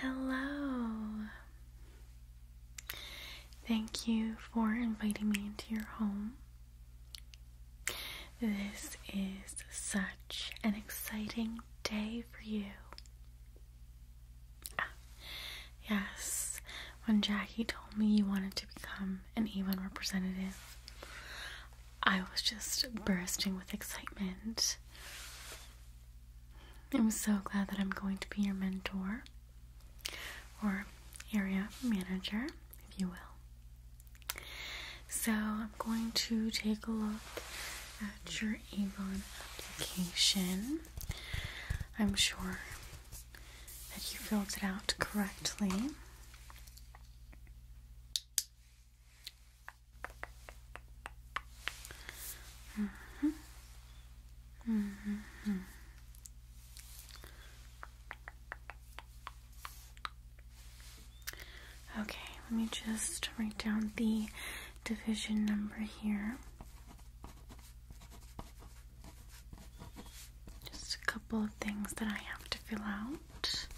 Hello. Thank you for inviting me into your home. This is such an exciting day for you. Ah, yes, when Jackie told me you wanted to become an E1 representative, I was just bursting with excitement. I'm so glad that I'm going to be your mentor or area manager, if you will. So I'm going to take a look at your Avon application. I'm sure that you filled it out correctly. Mm -hmm. -hmm. Okay, let me just write down the division number here. Just a couple of things that I have to fill out.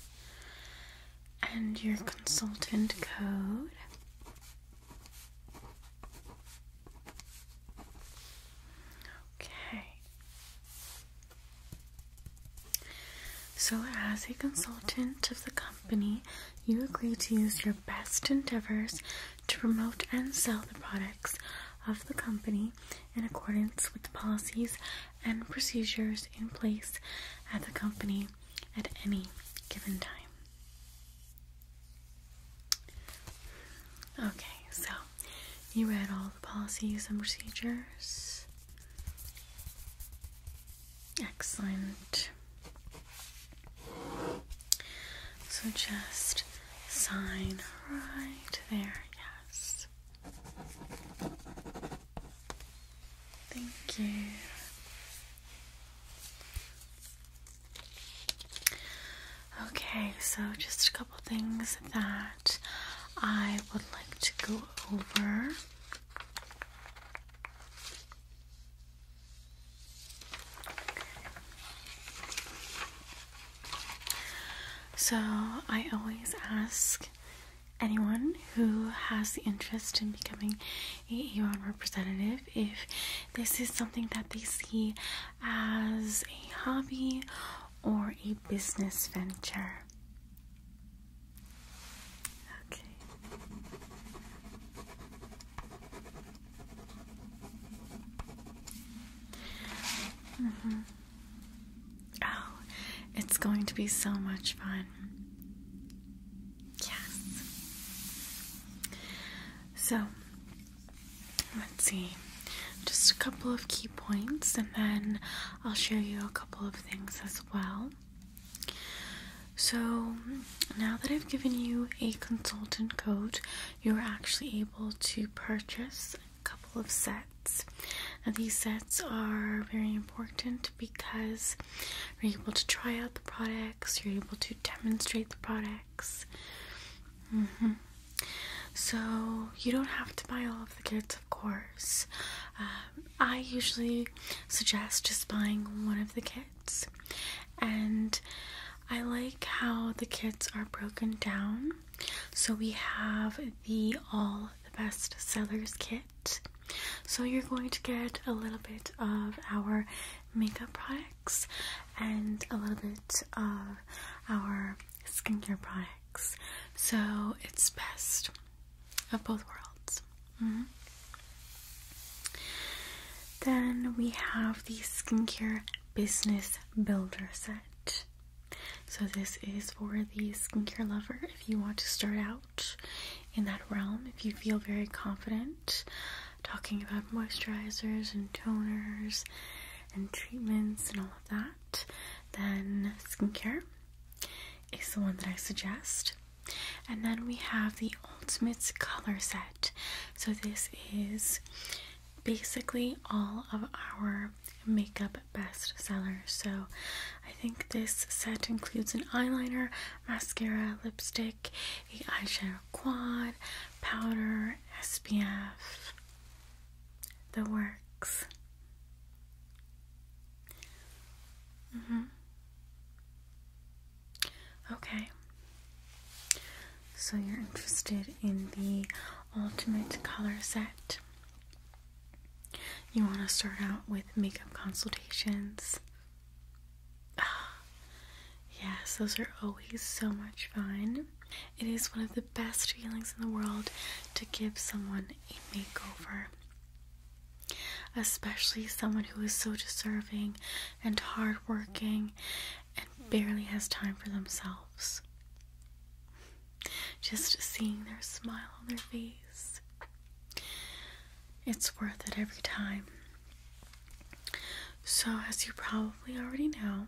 And your consultant code. Okay. So, as a consultant of the company, you agree to use your best endeavors to promote and sell the products of the company in accordance with the policies and procedures in place at the company at any given time. Okay, so you read all the policies and procedures. Excellent. So just sign right there, yes. Thank you. Okay, so just a couple things that I would like to go over. So, I always ask anyone who has the interest in becoming AAON representative if this is something that they see as a hobby or a business venture. Okay. Mm-hmm. Oh, it's going to be so much fun. Yes. So, let's see. Just a couple of key points, and then I'll show you a couple of things as well. So, now that I've given you a consultant code, you're actually able to purchase a couple of sets. these sets are very important because you're able to try out the products, you're able to demonstrate the products. Mm-hmm. So, you don't have to buy all of the kits, of course. Um, I usually suggest just buying one of the kits, and I like how the kits are broken down. So, we have the All the Best Sellers kit. So, you're going to get a little bit of our makeup products and a little bit of our skincare products. So it's best of both worlds. Mm-hmm. Then we have the skincare business builder set. So this is for the skincare lover if you want to start out in that realm, if you feel very confident talking about moisturizers and toners and treatments and all of that, then skincare is the one that I suggest. And then we have the Ultimates color set. So this is basically all of our makeup bestsellers. So I think this set includes an eyeliner, mascara, lipstick, the eyeshadow quad, powder, SPF, the works. Mm hmm Okay. So you're interested in the ultimate color set. You want to start out with makeup consultations. Yes, those are always so much fun. It is one of the best feelings in the world to give someone a makeover, especially someone who is so deserving and hardworking and barely has time for themselves. Just seeing their smile on their face. It's worth it every time. So, as you probably already know,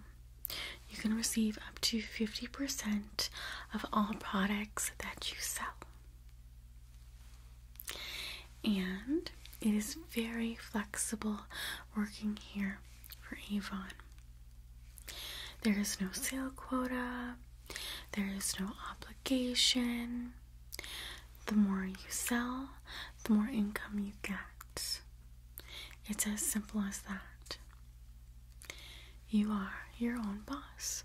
you can receive up to 50% of all products that you sell. And it is very flexible working here for Avon. There is no sale quota, there is no obligation, the more you sell, the more income you get. It's as simple as that. You are your own boss.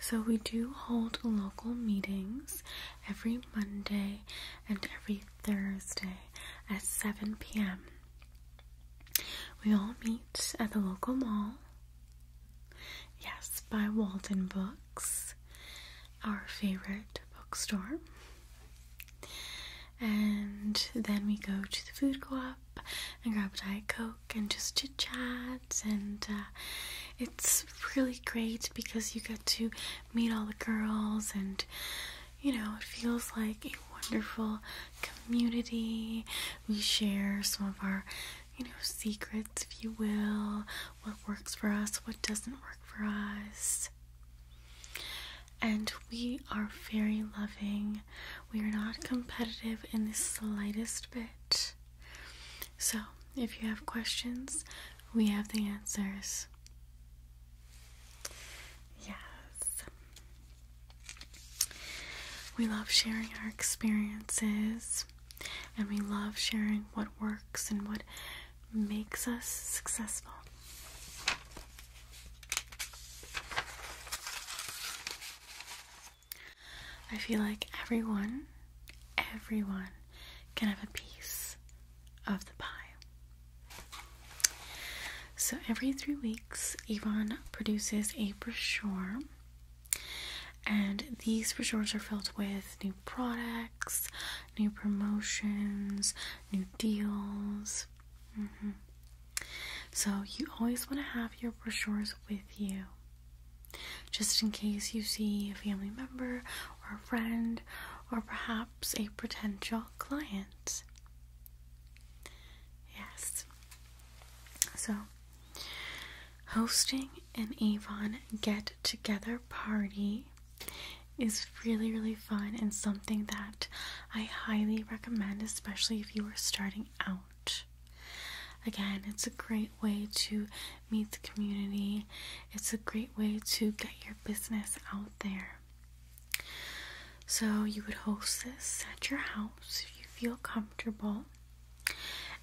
So, we do hold local meetings every Monday and every Thursday at 7 p.m. We all meet at the local mall. Yes, by Walden Books our favorite bookstore. And then we go to the food co op and grab a Diet Coke and just chit chat. And uh, it's really great because you get to meet all the girls, and you know, it feels like a wonderful community. We share some of our you know, secrets, if you will what works for us, what doesn't work for us. And we are very loving. We are not competitive in the slightest bit. So, if you have questions, we have the answers. Yes. We love sharing our experiences and we love sharing what works and what makes us successful. I feel like everyone, everyone can have a piece of the pie. So every three weeks, Yvonne produces a brochure, and these brochures are filled with new products new promotions, new deals. Mm-hmm. So, you always want to have your brochures with you just in case you see a family member or a friend or perhaps a potential client. Yes. So, hosting an Avon get together party is really, really fun and something that I highly recommend, especially if you are starting out. Again, it's a great way to meet the community, it's a great way to get your business out there. So, you would host this at your house if you feel comfortable,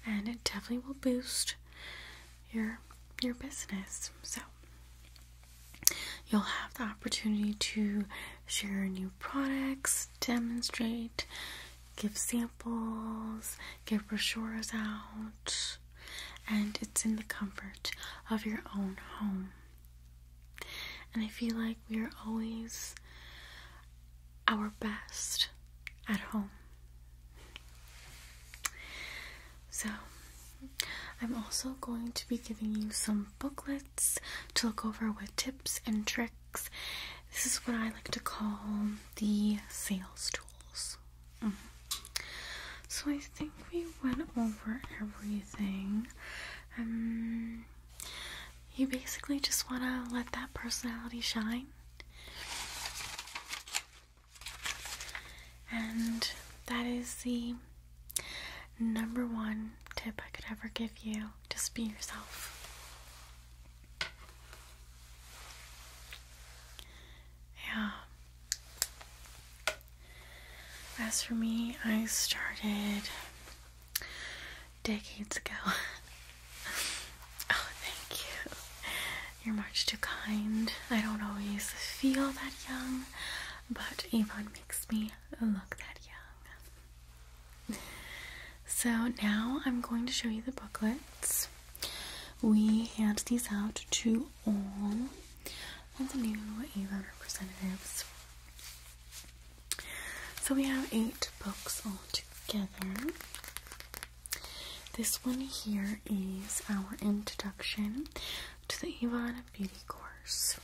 and it definitely will boost your your business. So you'll have the opportunity to share new products, demonstrate, give samples, give brochures out, and it's in the comfort of your own home. And I feel like we are always our best at home. So, I'm also going to be giving you some booklets to look over with tips and tricks. This is what I like to call the sales tools. Mm-hmm. So, I think we went over everything. Um, you basically just want to let that personality shine. And that is the number one tip I could ever give you. Just be yourself. Yeah. As for me, I started decades ago. oh, thank you. You're much too kind. I don't always feel that young, but Avon makes me look that young. So now I'm going to show you the booklets. We hand these out to all of the new Avon representatives. So we have eight books all together. This one here is our introduction to the Ivana Beauty course.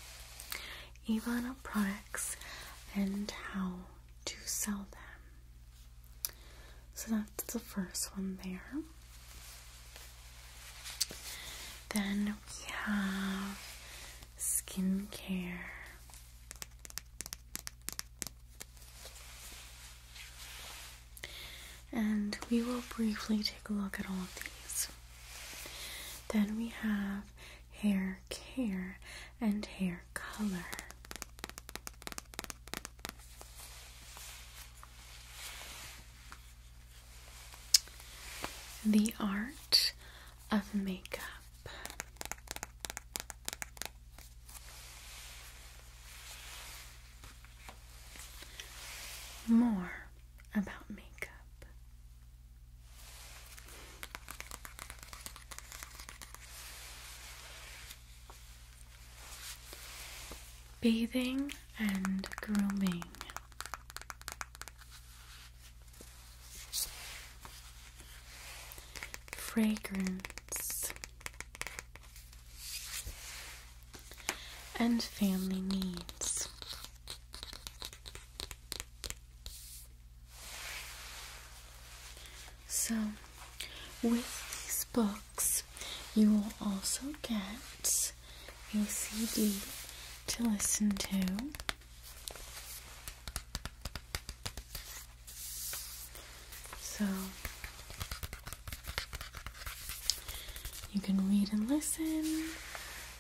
Ivana products and how to sell them. So that's the first one there. Then we have skincare. And we will briefly take a look at all of these. Then we have hair care and hair color. The art of makeup more about makeup. Bathing and grooming. Fragrance and family needs. So, with these books, you will also get a CD to listen to. So, you can read and listen,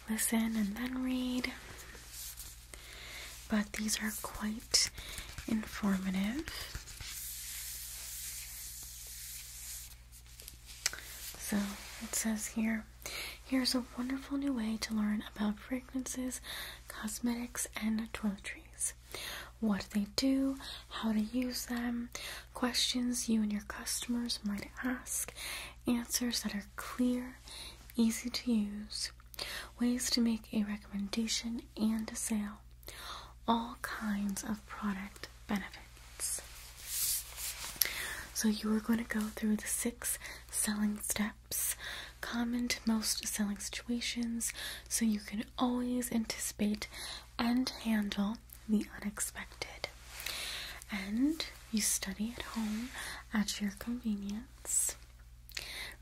listen and then read. But these are quite informative. So it says here here's a wonderful new way to learn about fragrances, cosmetics, and toiletries. What they do, how to use them, questions you and your customers might ask, answers that are clear, easy to use, ways to make a recommendation and a sale, all kinds of product benefits. So, you are going to go through the six selling steps common to most selling situations so you can always anticipate and handle the unexpected. And you study at home at your convenience.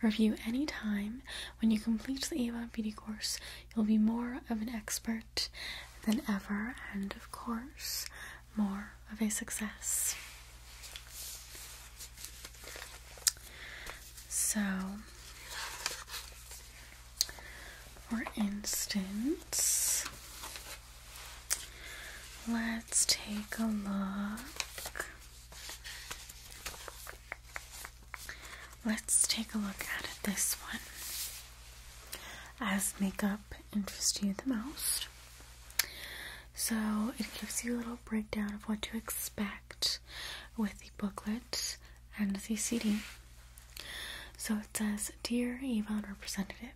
Review any time. When you complete the AVA beauty course, you'll be more of an expert than ever, and of course, more of a success. So, for instance, let's take a look. Let's take a look at this one. As makeup interests you the most. So it gives you a little breakdown of what to expect with the booklet and the CD. So it says, Dear Avon Representative,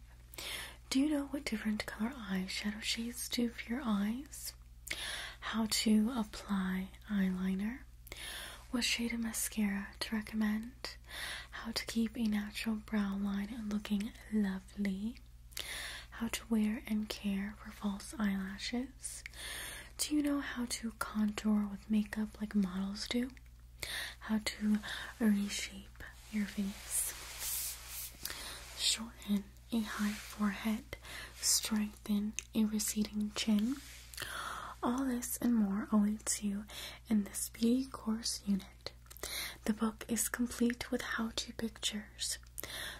do you know what different color eye shadow shades do for your eyes? How to apply eyeliner? What shade of mascara to recommend? How to keep a natural brow line looking lovely? How to wear and care for false eyelashes? Do you know how to contour with makeup like models do? how to reshape your face. Shorten a high forehead, strengthen a receding chin. All this and more awaits you in this beauty course unit. The book is complete with how to pictures.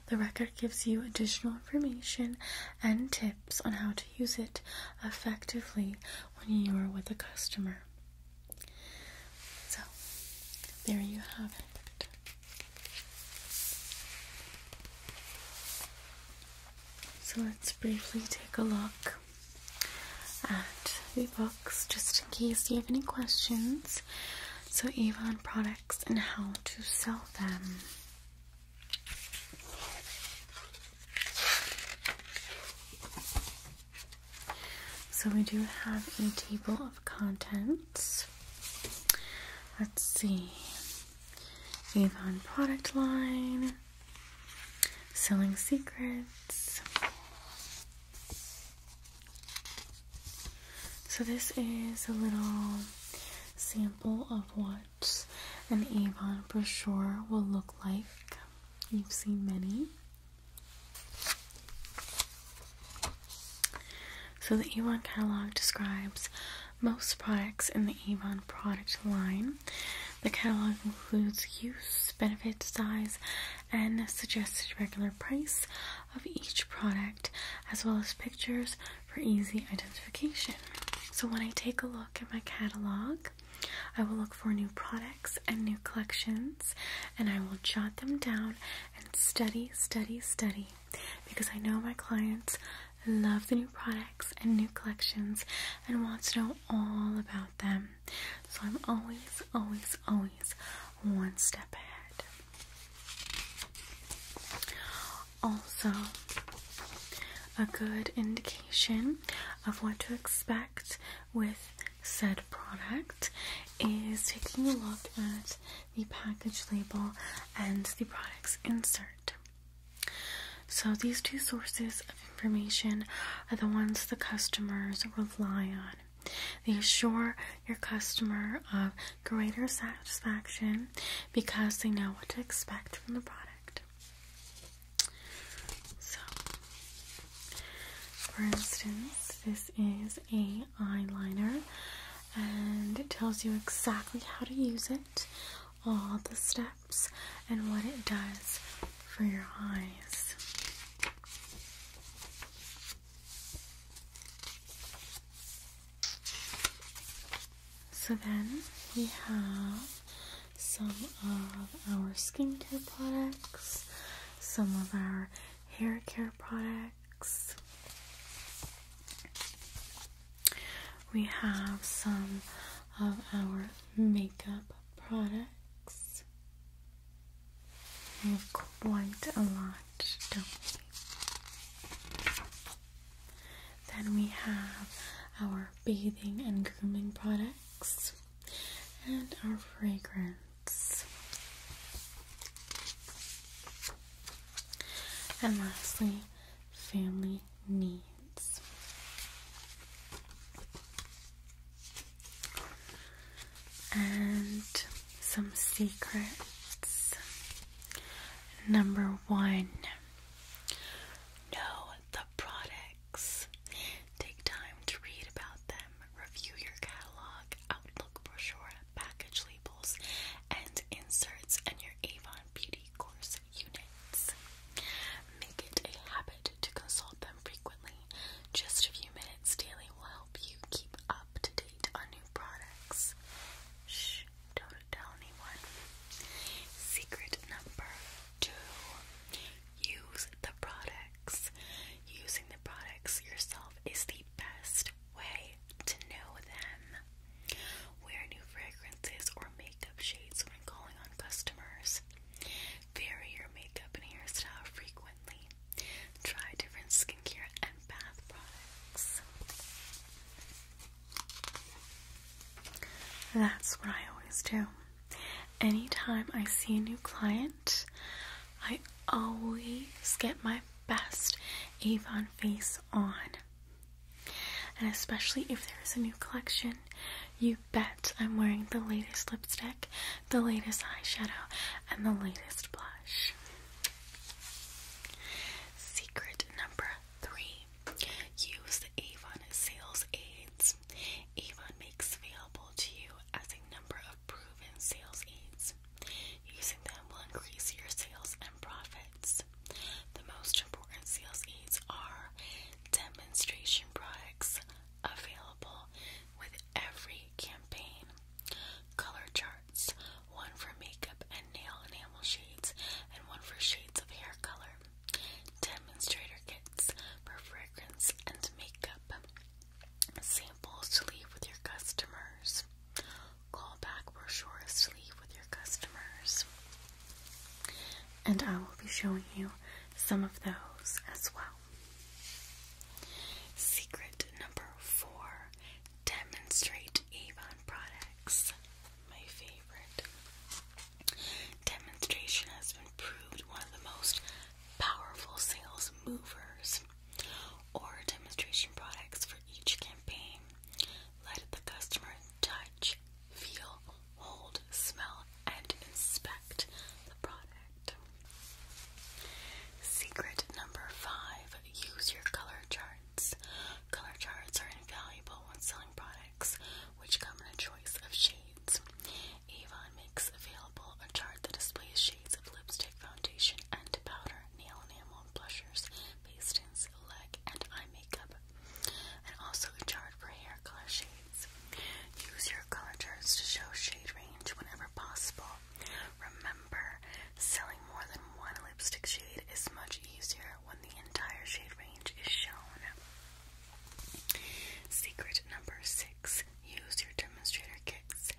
The record gives you additional information and tips on how to use it effectively when you are with a customer. So, there you have it. So, let's briefly take a look at the books just in case you have any questions. So, Avon products and how to sell them. So we do have a table of contents. Let's see. Avon product line, selling secrets. So this is a little sample of what an Avon brochure will look like. You've seen many. So, the Avon catalog describes most products in the Avon product line. The catalog includes use, benefits, size, and suggested regular price of each product, as well as pictures for easy identification. So, when I take a look at my catalog, I will look for new products and new collections and I will jot them down and study, study, study because I know my clients love the new products and new collections and want to know all about them. So I'm always, always, always one step ahead. Also, a good indication of what to expect with said product is taking a look at the package label and the product's insert. So, these two sources of information are the ones the customers rely on. They assure your customer of greater satisfaction because they know what to expect from the product. So, for instance, this is a eyeliner, and it tells you exactly how to use it, all the steps, and what it does for your eyes. So then we have some of our skincare products, some of our hair care products. We have some of our makeup products. quite a lot, don't we? Then we have our bathing and grooming products and our fragrance. And lastly, family needs. And some secrets. Number one, know the products. Take time to read about them, review your catalog, outlook brochure, package labels, and inserts, and your Avon Beauty course units. Make it a habit to consult them frequently. Just a few minutes daily will help you keep up to date on new products. Shh, don't tell anyone. Secret number two use the product. Using the products yourself is the best way to know them. Wear new fragrances or makeup shades when calling on customers. Vary your makeup and hairstyle frequently. Try different skincare and bath products. That's what I always do. Anytime I see a new client, I always get my best Avon face on. And especially if there's a new collection, you bet I'm wearing the latest lipstick, the latest eyeshadow, and the latest blush. Secret number three use Avon sales aids. Avon makes available to you as a number of proven sales aids. Using them will increase your sales and profits. The most important sales aids are demonstration products available with every campaign, color charts, one for makeup and nail enamel shades, and one for shades of hair color, demonstrator kits for fragrance and makeup samples to leave with your customers, Call callback brochures to leave with your customers, and I will be showing you some of those as well. Secret number four demonstrate Avon products. My favorite. Demonstration has been proved one of the most powerful sales movers or demonstration products for each campaign. Let the customer touch, feel, hold, smell, and inspect the product. Secret number five use your color charts. Color charts are invaluable when selling products, which come in a choice of shades. Avon makes available a chart that displays shades of lipstick, foundation, and powder, nail enamel, blushers, base tints, leg, and eye makeup, and also a chart for hair color shades. Use your color charts to show shade range whenever possible. Remember, selling more than one lipstick shade is much easier when the entire shade range is shown. Secret number six Use your demonstrator kits.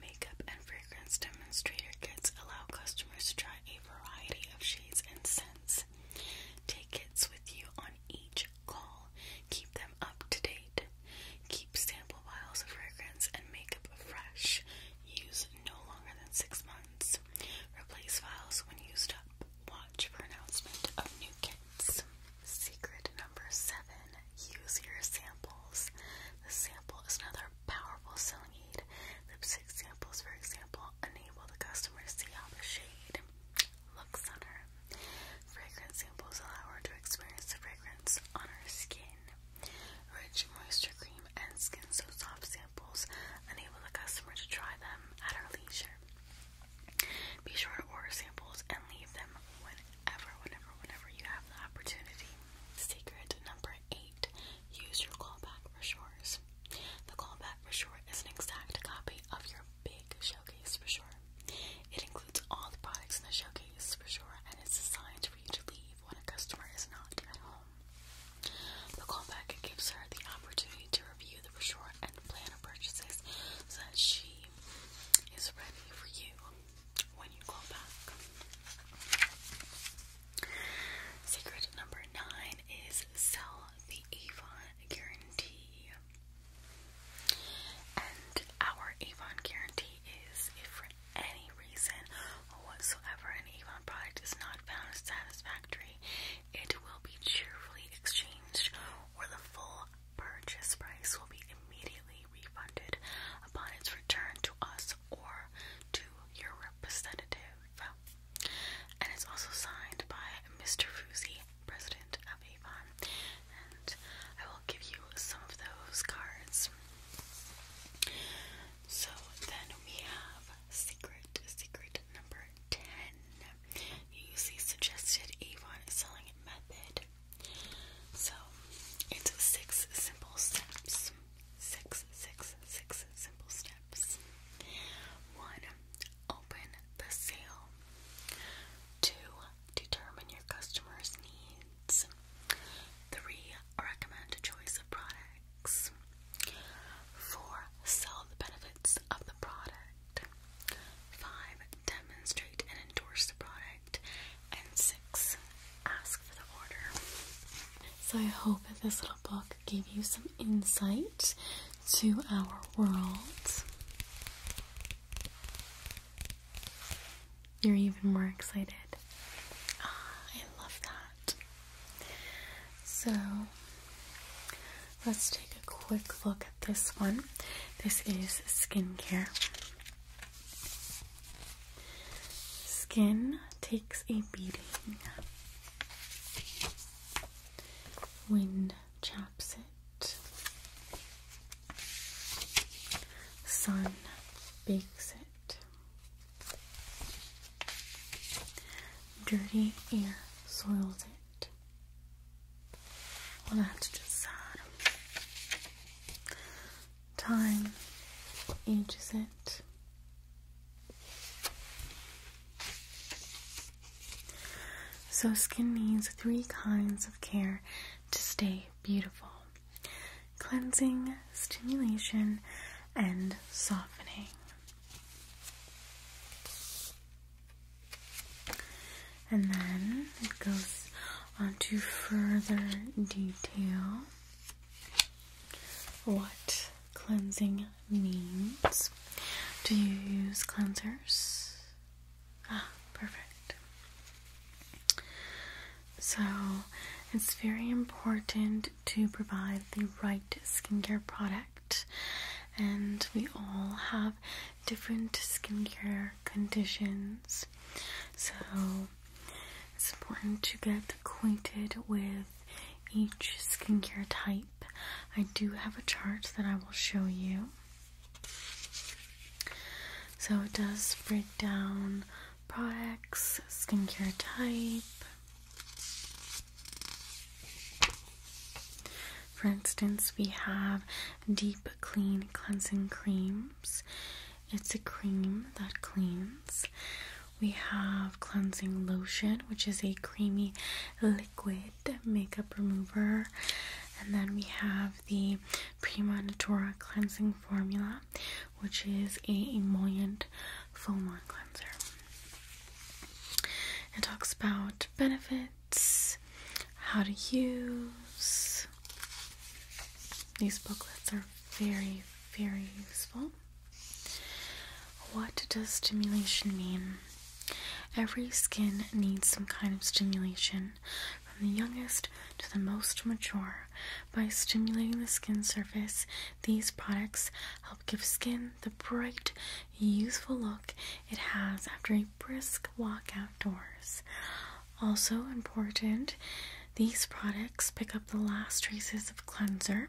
Makeup and fragrance demonstrator kits allow customers to try a variety of shades and scents. Take kits with you on each call. Keep them up to date. Keep sample vials of fragrance and makeup fresh. Use no longer than six months. Replace vials when used up. Watch for announcement of new kits. Secret number seven use your samples. The sample is another powerful selling aid. Lipstick samples, for example, enable the customer to see how the shade looks on her. Fragrance samples allow her to experience the fragrance on her skin. Rich moisture cream and skin so soft samples enable the customer to try them at her leisure. Be sure to order samples and leave them whenever, whenever, whenever you have the opportunity. Secret number eight use your callback for sure. The callback for sure is an exact copy of your big showcase for sure. It includes all the products in the showcase for sure and it's designed for you to leave when a customer is not at home. The callback gives her the opportunity to review the brochure and plan her purchases so that she is ready for you when you go back. Secret number nine is sell the Avon guarantee. And our Avon guarantee is if for any reason whatsoever an Avon product is not found satisfactory, it will be cheerfully exchanged or the full purchase price will be immediately refunded upon its return to us or to your representative. And it's also signed by Mr. Fusi, President of Avon. And I will give you some of those cards. So then we have secret, secret number 10. You see suggested Avon selling method. So it's six simple steps. Six, six, six simple steps. One, open the sale. Two, determine your customer's needs. Three, recommend a choice of products. Four, sell the benefits of the product. Five, demonstrate and endorse the product. And six, ask for the order. So I hope that this little book gave you some insight to our world. You're even more excited. Ah, I love that. So let's take a quick look at this one. This is skincare. Skin takes a beating. Wind chaps it. Sun bakes it. Dirty air soils it. Well, that's just sad. Time, ages it? So, skin needs three kinds of care to stay beautiful cleansing, stimulation, and softening and then it goes on to further detail what cleansing means. Do you use cleansers? Ah, perfect. So it's very important to provide the right skincare product, and we all have different skincare conditions so it's important to get acquainted with each skincare type. I do have a chart that I will show you. So it does break down products, skincare type. For instance, we have Deep Clean Cleansing Creams. It's a cream that cleans. We have Cleansing Lotion, which is a creamy liquid makeup remover. And then we have the Premonitora Cleansing Formula, which is a emollient foam cleanser. It talks about benefits, how to use, these booklets are very, very useful. What does stimulation mean? Every skin needs some kind of stimulation, from the youngest to the most mature. By stimulating the skin surface, these products help give skin the bright, youthful look it has after a brisk walk outdoors. Also important, these products pick up the last traces of cleanser,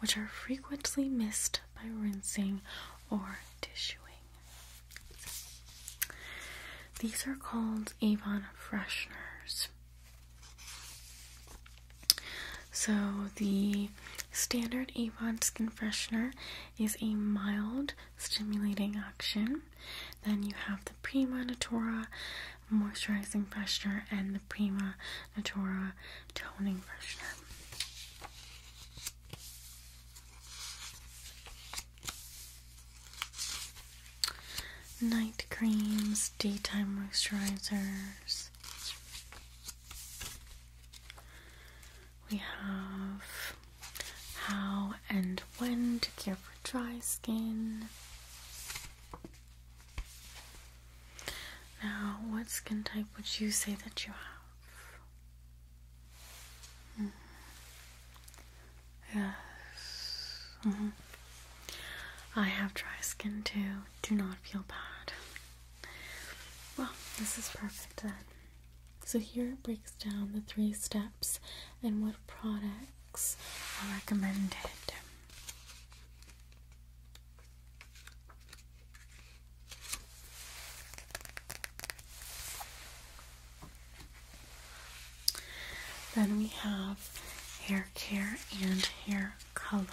which are frequently missed by rinsing or tissuing. These are called Avon fresheners. So, the standard Avon skin freshener is a mild stimulating action. Then you have the Prima Natura Moisturizing Freshener and the Prima Natura Toning Freshener. Night creams, daytime moisturizers. We have how and when to care dry skin. Now, what skin type would you say that you have? Mm-hmm. Yes. Mm-hmm. I have dry skin too. Do not feel bad. Well, this is perfect So here it breaks down the three steps and what products are recommended. Then we have hair care and hair color.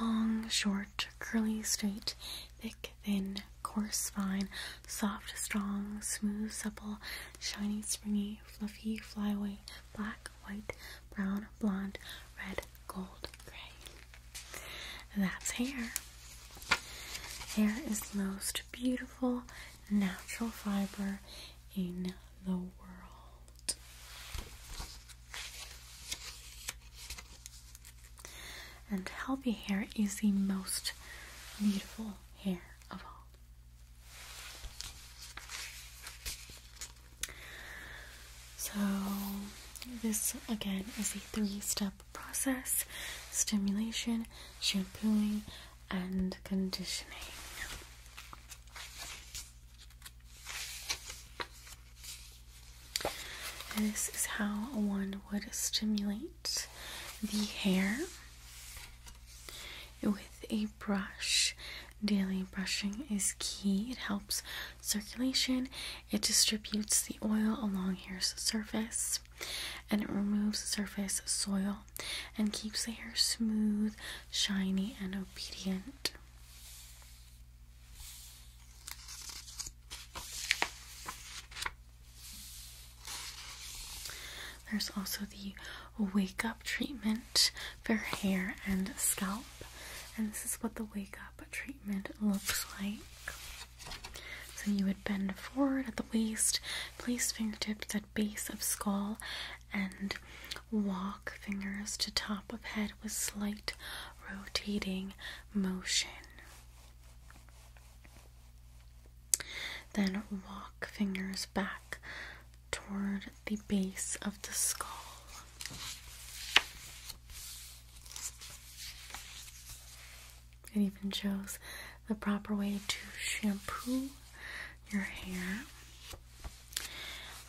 Long, short, curly, straight, thick, thin, coarse, fine, soft, strong, smooth, supple, shiny, springy, fluffy, flyaway, black, white, brown, blonde, red, gold, gray. That's hair. Hair is the most beautiful natural fiber in the world. And healthy hair is the most beautiful hair so, this again is a three step process stimulation, shampooing, and conditioning. this is how one would stimulate the hair with a brush. Daily brushing is key. It helps circulation, it distributes the oil along hair's surface, and it removes surface soil and keeps the hair smooth, shiny, and obedient. There's also the wake up treatment for hair and scalp, and this is what the wake up treatment looks like. So you would bend forward at the waist, place fingertips at base of skull, and walk fingers to top of head with slight rotating motion. Then walk fingers back toward the base of the skull. It even shows the proper way to shampoo your hair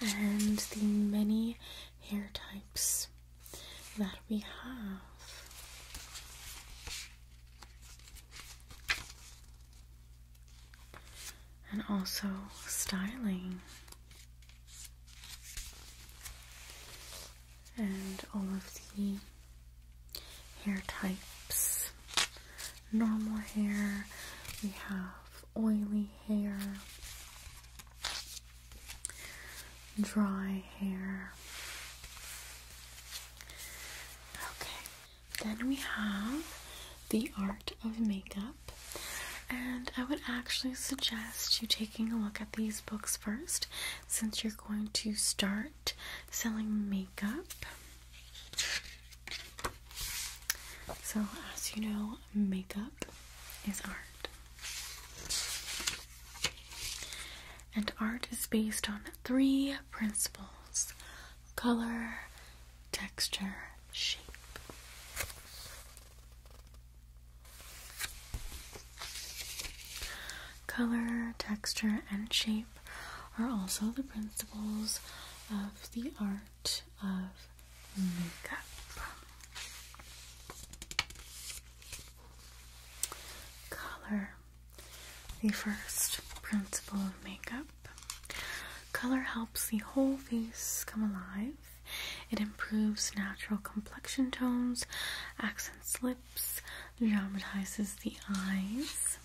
and the many hair types that we have and also styling and all of the hair types normal hair we have oily hair dry hair okay then we have The Art of Makeup. And I would actually suggest you taking a look at these books first since you're going to start selling makeup. So, as you know, makeup is art. And art is based on three principles color, texture, shape. Color, texture, and shape are also the principles of the art of makeup. Color. The first principle of makeup color helps the whole face come alive. It improves natural complexion tones, accents lips, dramatizes the eyes.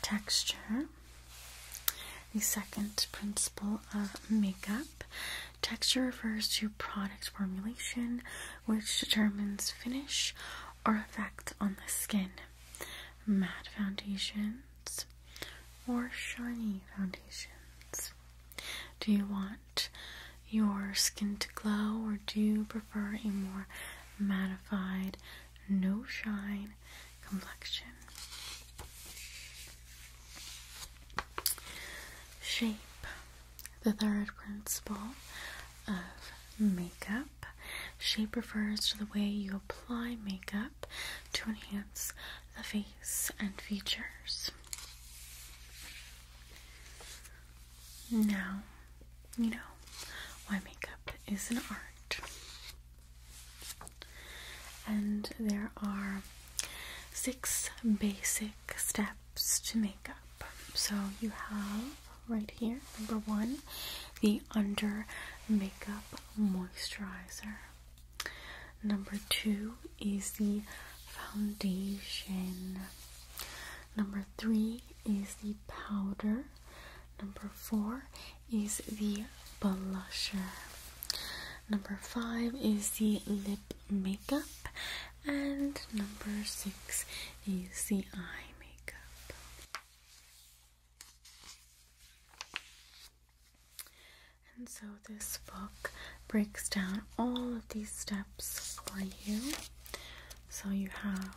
Texture. The second principle of makeup. Texture refers to product formulation, which determines finish or effect on the skin. Matte foundations or shiny foundations. Do you want your skin to glow or do you prefer a more mattified, no shine complexion? Shape the third principle of makeup. Shape refers to the way you apply makeup to enhance the face and features. Now, you know why makeup is an art. And there are six basic steps to makeup. So you have right here, number one, the Under Makeup Moisturizer. Number two is the foundation. Number three is the powder. Number four is the blusher. Number five is the lip makeup. And number six is the eye and so this book breaks down all of these steps for you. So you have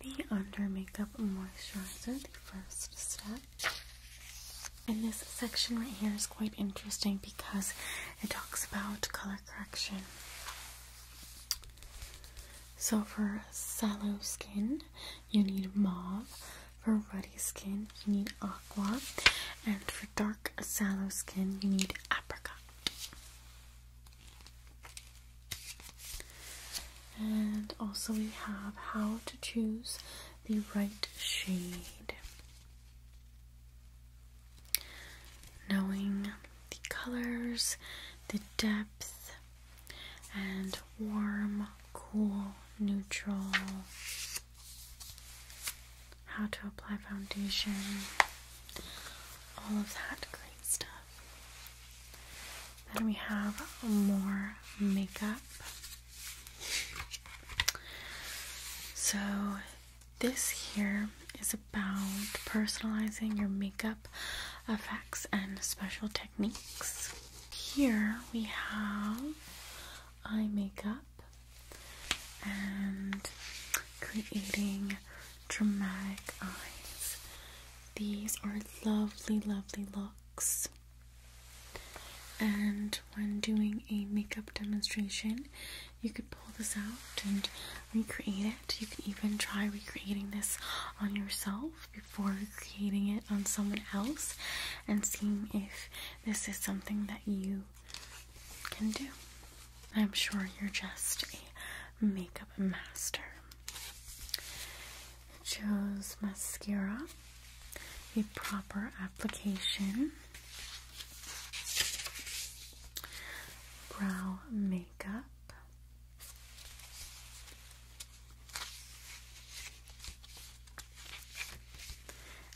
the under makeup moisturizer, the first step. And this section right here is quite interesting because it talks about color correction. So for sallow skin, you need mauve. For ruddy skin, you need aqua. And for dark sallow skin, you need apricot. And also we have how to choose the right shade. Knowing the colors, the depth, and warm, cool, neutral. How to apply foundation, all of that great stuff. Then we have more makeup. So, this here is a about personalizing your makeup effects and special techniques. Here we have eye makeup and creating dramatic eyes. These are lovely, lovely looks. And when doing a makeup demonstration, you could pull this out and recreate it. You can even try recreating this on yourself before creating it on someone else and seeing if this is something that you can do. I'm sure you're just a makeup master. Choose mascara, a proper application, brow makeup,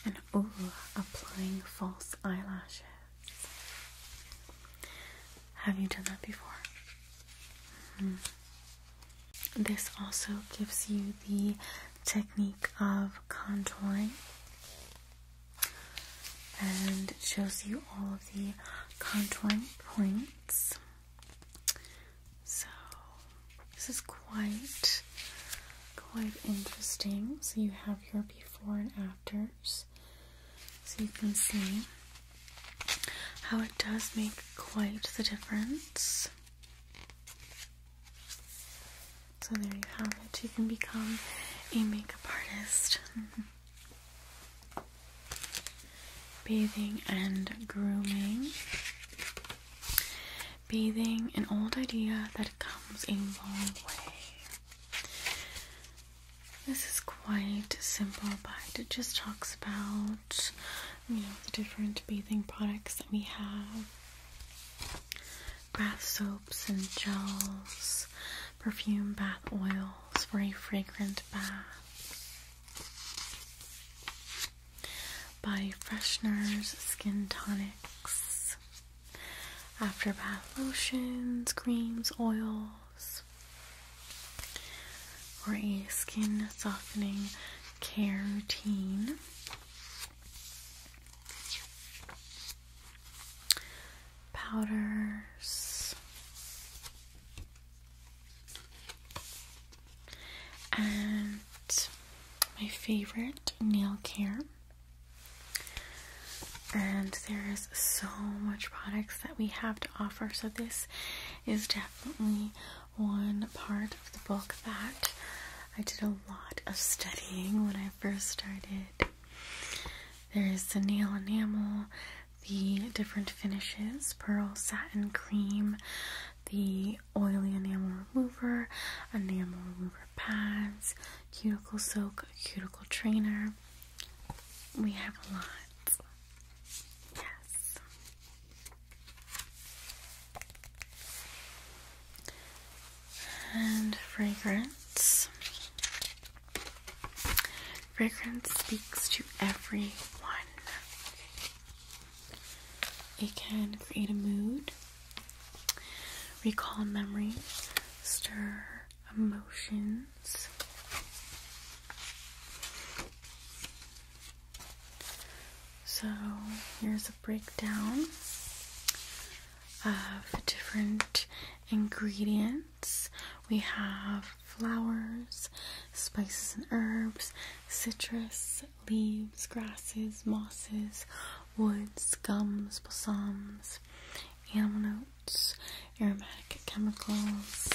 and oh, applying false eyelashes. Have you done that before? Hmm. This also gives you the technique of contouring and shows you all of the contouring points so this is quite quite interesting. So you have your before and afters. So you can see how it does make quite the difference. So there you have it. You can become a makeup artist. Bathing and grooming. Bathing, an old idea that comes a long way. This is quite simple, but it just talks about you know, the different bathing products that we have bath soaps and gels, perfume bath oils for a fragrant bath, body fresheners, skin tonics, after bath lotions, creams, oils, or a skin softening care routine. Powders, and my favorite nail care. And there's so much products that we have to offer. So this is definitely one part of the book that I did a lot of studying when I first started. There's the nail enamel, the different finishes pearl, satin, cream, the oily enamel remover, enamel remover pads, cuticle soak, cuticle trainer. We have a lot. Yes. And fragrance. Fragrance speaks to everyone. It can create a mood, recall memories, stir emotions. So here's a breakdown of different ingredients. We have flowers, spices and herbs, citrus, leaves, grasses, mosses, woods, gums, balsams, animal notes, aromatic chemicals.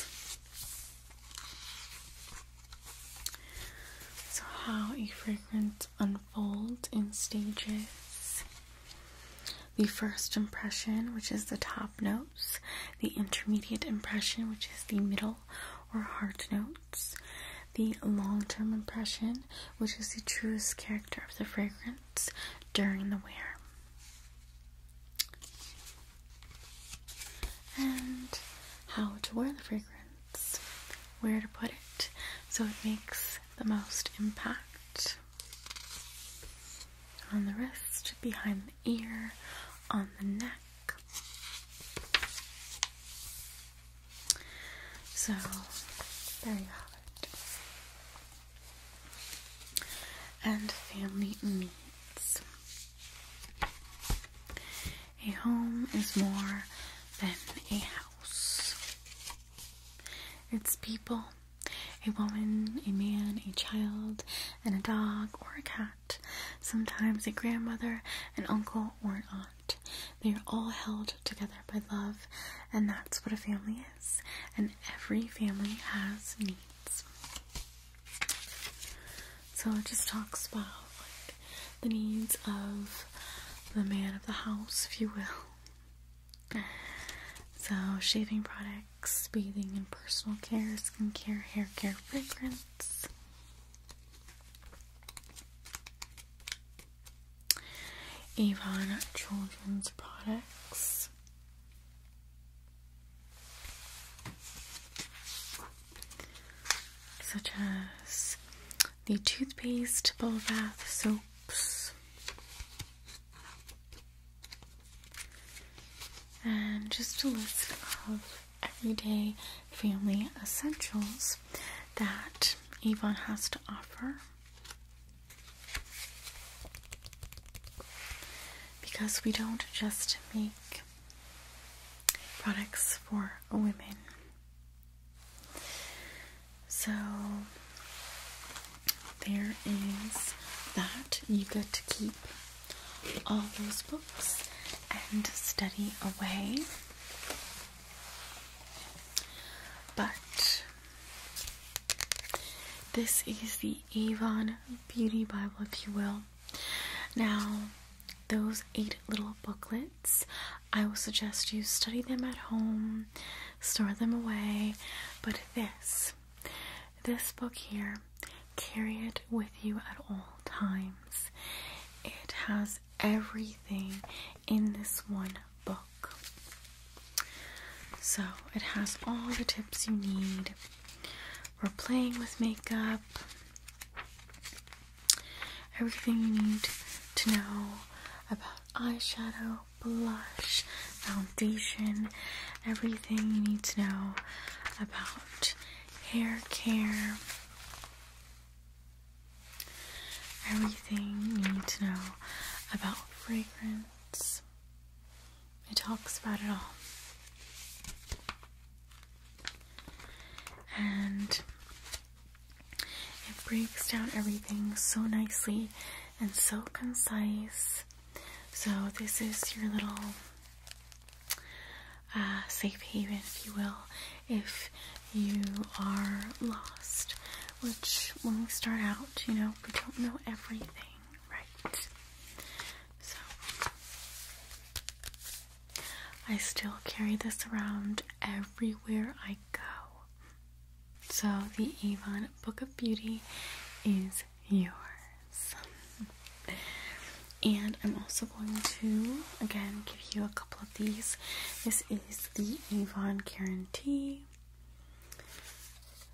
So how a fragrance unfolds in stages. The first impression, which is the top note, the intermediate impression, which is the middle or heart notes, the long term impression, which is the truest character of the fragrance during the wear. And how to wear the fragrance, where to put it so it makes the most impact on the wrist, behind the ear, on the neck. So there you have it. And family needs. A home is more than a house. It's people, a woman, a man, a child, and a dog or a cat sometimes a grandmother, an uncle, or an aunt. They are all held together by love, and that's what a family is, and every family has needs. So it just talks about like the needs of the man of the house, if you will. So, shaving product bathing and personal care, skincare, hair care, fragrance. Avon Children's Products. Such as the toothpaste, bubble bath, soaps, and just a list of everyday family essentials that Yvonne has to offer. Because we don't just make products for women. So there is that you get to keep all those books and study away. But this is the Avon Beauty Bible, if you will. Now, those eight little booklets, I will suggest you study them at home, store them away. But this, this book here, carry it with you at all times. It has everything in this one book. So it has all the tips you need for playing with makeup, everything you need to know about eyeshadow, blush, foundation, everything you need to know about hair care, everything you need to know about fragrance. It talks about it all. And it breaks down everything so nicely and so concise. So, this is your little uh, safe haven, if you will, if you are lost. Which, when we start out, you know, we don't know everything, right? So, I still carry this around everywhere I go. So, the Avon Book of Beauty is yours. And I'm also going to again give you a couple of these. This is the Avon guarantee.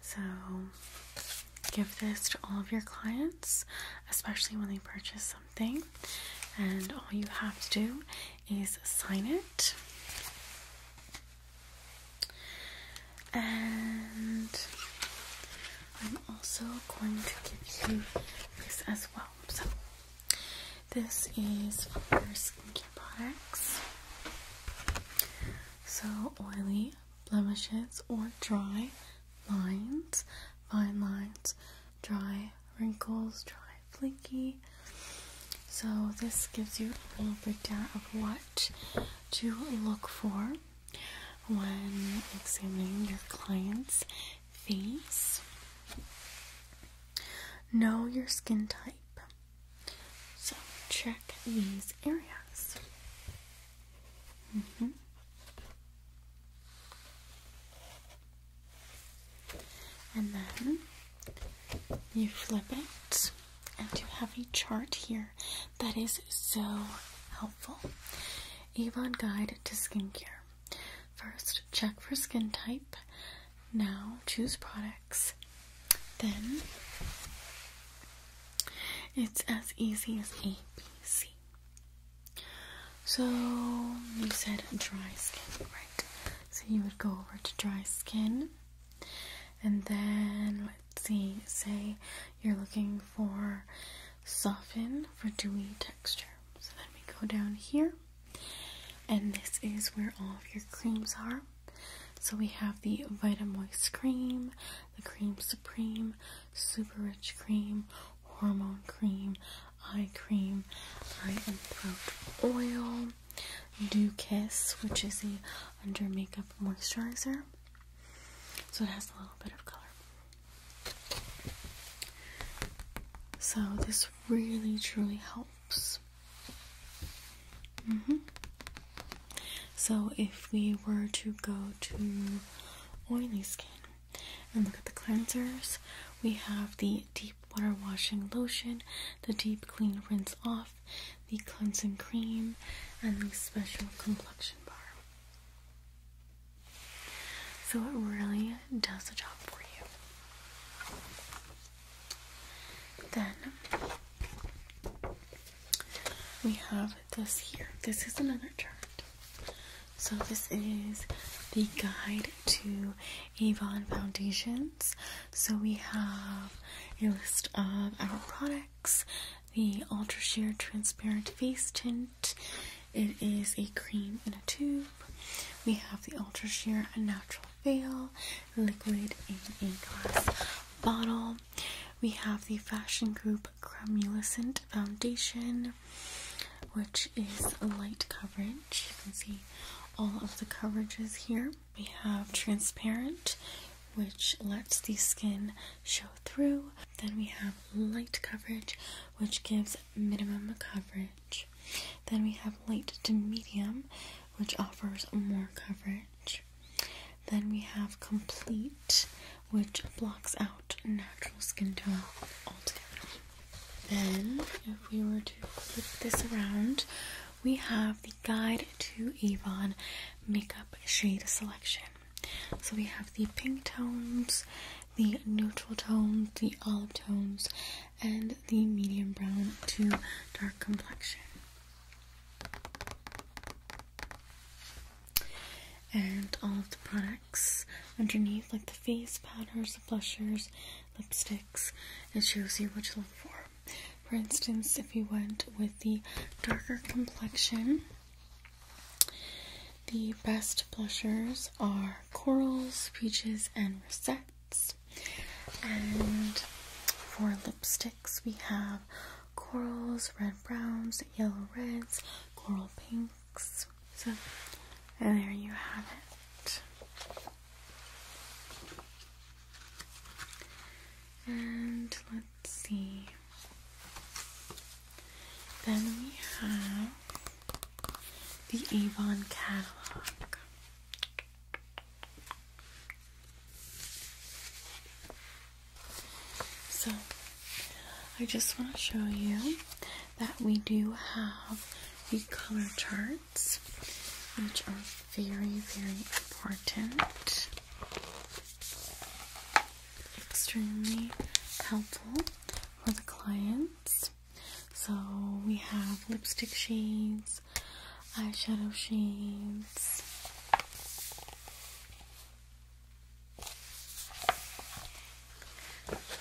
So give this to all of your clients, especially when they purchase something. And all you have to do is sign it. And I'm also going to give you this as well. So, this is for skincare products. So, oily, blemishes, or dry lines, fine lines, dry wrinkles, dry flaky. So, this gives you a little breakdown of what to look for when examining your client's face. Know your skin type. So, check these areas. Mm-hmm. And then you flip it, and you have a chart here that is so helpful helpful. Avon Guide to Skincare. First, check for skin type. Now, choose products. Then, it's as easy as ABC. So, you said dry skin, right? So, you would go over to dry skin. And then, let's see, say you're looking for soften for dewy texture. So then we go down here, and this is where all of your creams are. So we have the Vitamoist cream, the Cream Supreme, Super Rich cream, Hormone cream, Eye cream, Eye and Throat oil, Dew Kiss, which is the under makeup moisturizer. So it has a little bit of color. So this really truly helps. Mm-hmm. So if we were to go to oily skin and look at the cleansers, we have the deep water washing lotion, the deep clean rinse off, the cleansing cream, and the special complexion bar. So it really does the job for you. Then we have this here. This is another chart. So this is the guide to Avon foundations. So we have a list of our products, the Ultra Sheer Transparent Face Tint it is a cream in a tube. We have the Ultra Sheer and Natural Veil, liquid in a glass bottle. We have the Fashion Group Cremulescent Foundation, which is light coverage. You can see all of the coverages here. We have Transparent, which lets the skin show through. Then we have light coverage, which gives minimum coverage. Then we have light to medium, which offers more coverage. Then we have complete, which blocks out natural skin tone altogether. Then, if we were to flip this around, we have the Guide to Avon Makeup Shade Selection. So we have the pink tones, the neutral tones, the olive tones, and the medium brown to dark complexion. And all of the products underneath, like the face powders, the blushers, lipsticks, it shows you what to look for. For instance, if you went with the darker complexion, the best blushers are corals, peaches, and rosettes. And for lipsticks, we have corals, red browns, yellow reds, coral pinks. So, and there you have it. And let's see. Then we have the Avon catalog. So, I just want to show you that we do have the color charts, which are very, very important, extremely helpful for the clients. So we have lipstick shades, eyeshadow shades.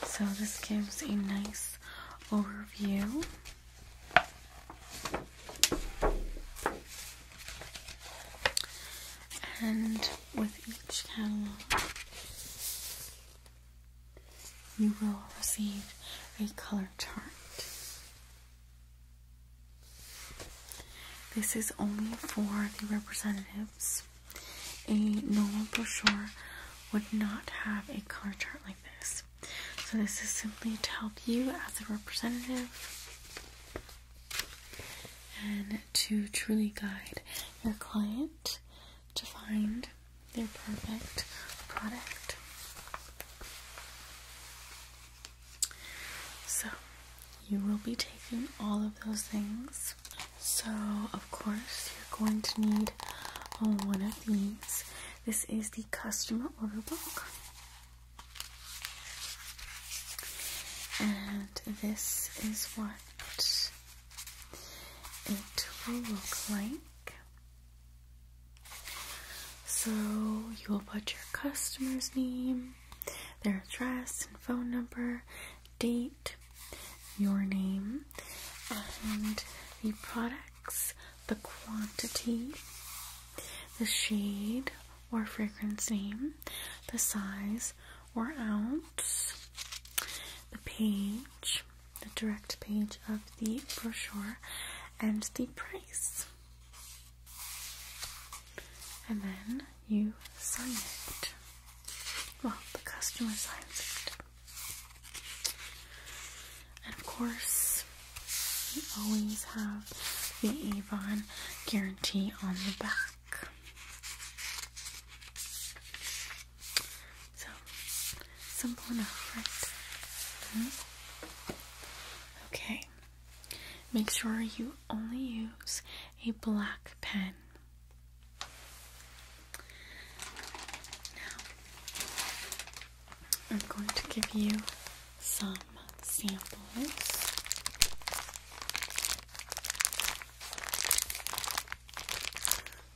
So this gives a nice overview. And with each catalog, you will receive a color chart. This is only for the representatives. A normal brochure would not have a color chart like this. So this is simply to help you as a representative and to truly guide your client to find their perfect product. So, you will be taking all of those things. So, of course, you're going to need one of these. This is the customer order book. And this is what it will look like. So you will put your customer's name, their address and phone number, date, your name, and the products, the quantity, the shade or fragrance name, the size, or ounce. The page, the direct page of the brochure, and the price. And then you sign it. Well, the customer signs it. And of course, you always have the Avon guarantee on the back. So, simple enough, right? Okay. Make sure you only use a black pen. Now, I'm going to give you some samples.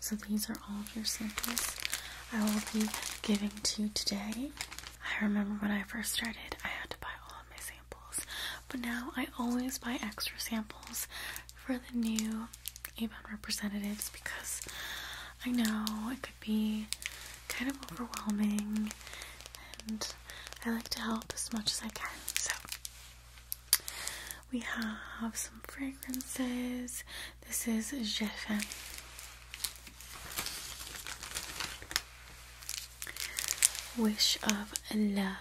So these are all of your samples I will be giving to you today. I remember when I first started, I had to buy all of my samples, but now I always buy extra samples for the new Avon representatives because I know it could be kind of overwhelming and I like to help as much as I can. So we have some fragrances. This is Jeffin. Wish of Love.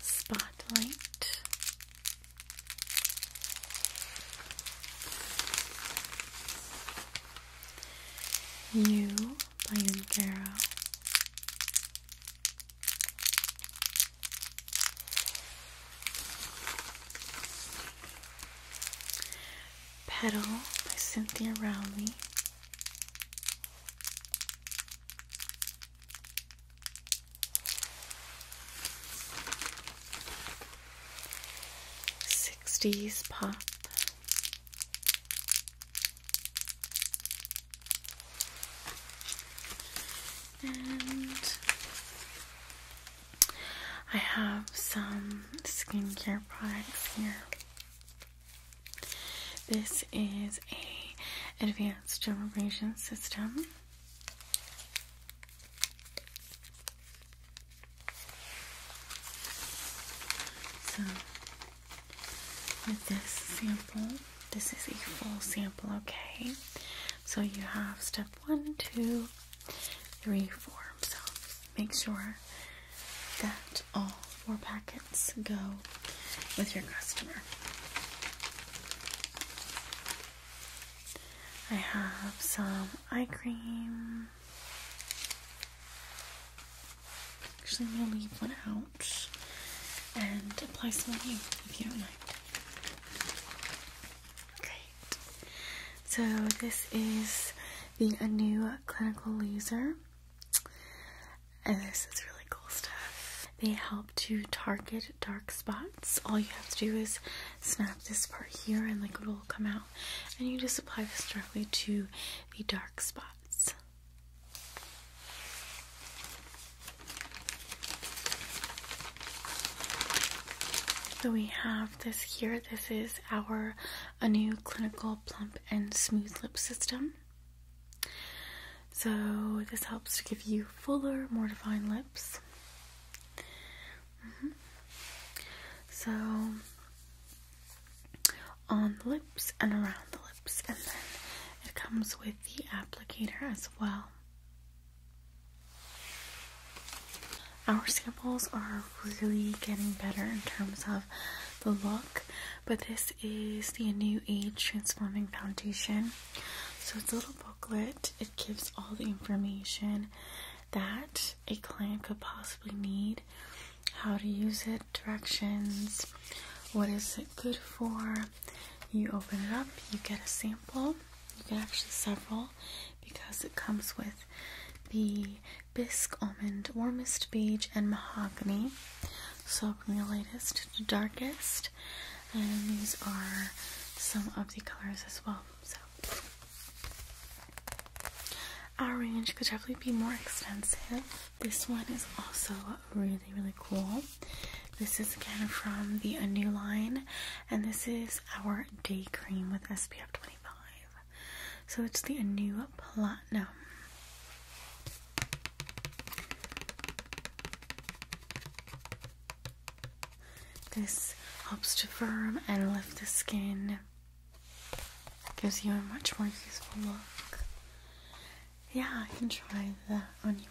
Spotlight. You by Anthero. Petal by Cynthia Rowley. Sixties Pop and I have some skincare products here. This is a advanced generation system. So with this sample. This is a full sample, okay? So you have step one, two, three, four. So make sure that all four packets go with your customer. I have some eye cream. Actually, I'm gonna leave one out and apply some on you if you don't mind. Great. So this is the a new clinical laser, and this is really cool stuff. They help to target dark spots. All you have to do is snap this part here, and liquid will come out, and you just apply this directly to the dark spots. So we have this here. This is our a new clinical plump and smooth lip system. So this helps to give you fuller, more defined lips. Mm-hmm. So on the lips and around the lips, and then it comes with the applicator as well. Our samples are really getting better in terms of the look, but this is the New Age Transforming Foundation. So it's a little booklet, it gives all the information that a client could possibly need, how to use it, directions, what is it good for. You open it up, you get a sample, you get actually several because it comes with the bisque almond, warmest beige, and mahogany. So from the lightest to darkest, and these are some of the colors as well. So our range could definitely be more extensive. This one is also really, really cool. This is again from the A New line, and this is our day cream with SPF 25. So it's the A New Platinum. This helps to firm and lift the skin. Gives you a much more useful look. Yeah, I can try the on you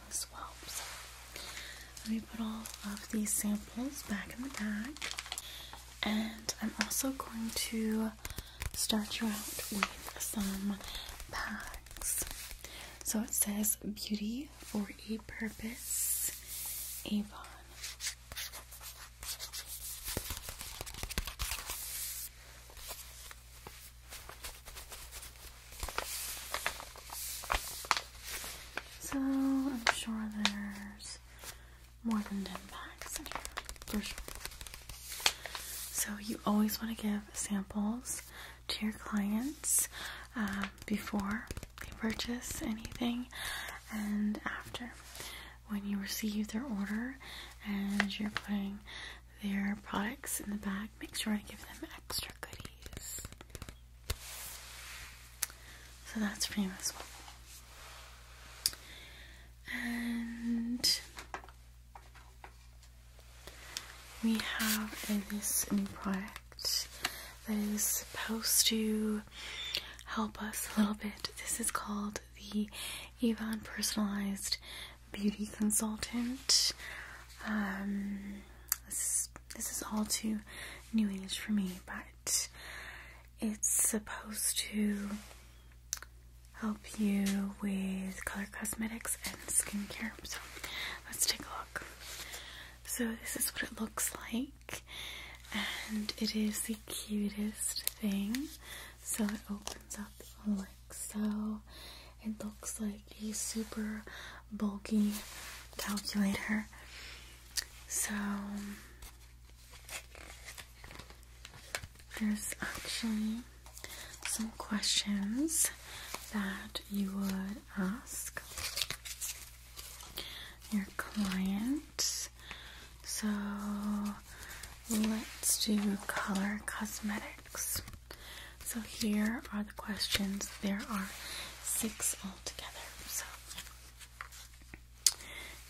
let me put all of these samples back in the bag. And I'm also going to start you out with some packs. So it says Beauty for a Purpose, Avon. So I'm sure there's more than 10 packs in here, for sure. So you always want to give samples to your clients um, before they purchase anything and after when you receive their order and you're putting their products in the back, make sure I give them extra goodies. So that's for you as And we have a, this new product that is supposed to help us a little bit. This is called the Avon Personalized beauty consultant. Um, this is all too new age for me, but it's supposed to help you with color cosmetics and skincare. So let's take a look. So this is what it looks like, and it is the cutest thing. So it opens up like so. It looks like a super bulky calculator. So there's actually some questions that you would ask your client. So let's do color cosmetics. So here are the questions. There are six altogether. So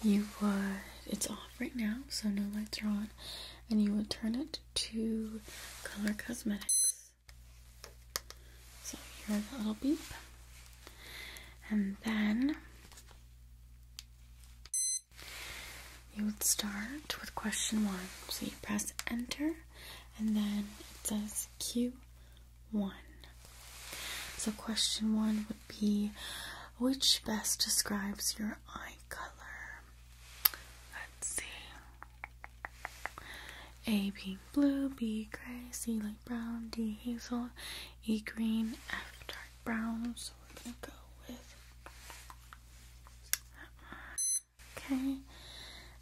you would, it's off right now, so no lights are on, and you would turn it to color cosmetics. So here's a little beep. And then you would start with question one. So you press enter and then it says Q1. So question one would be which best describes your eye color? Let's see. A being blue, B gray, C light brown, D hazel, E green, F dark brown. So we're gonna go with Okay,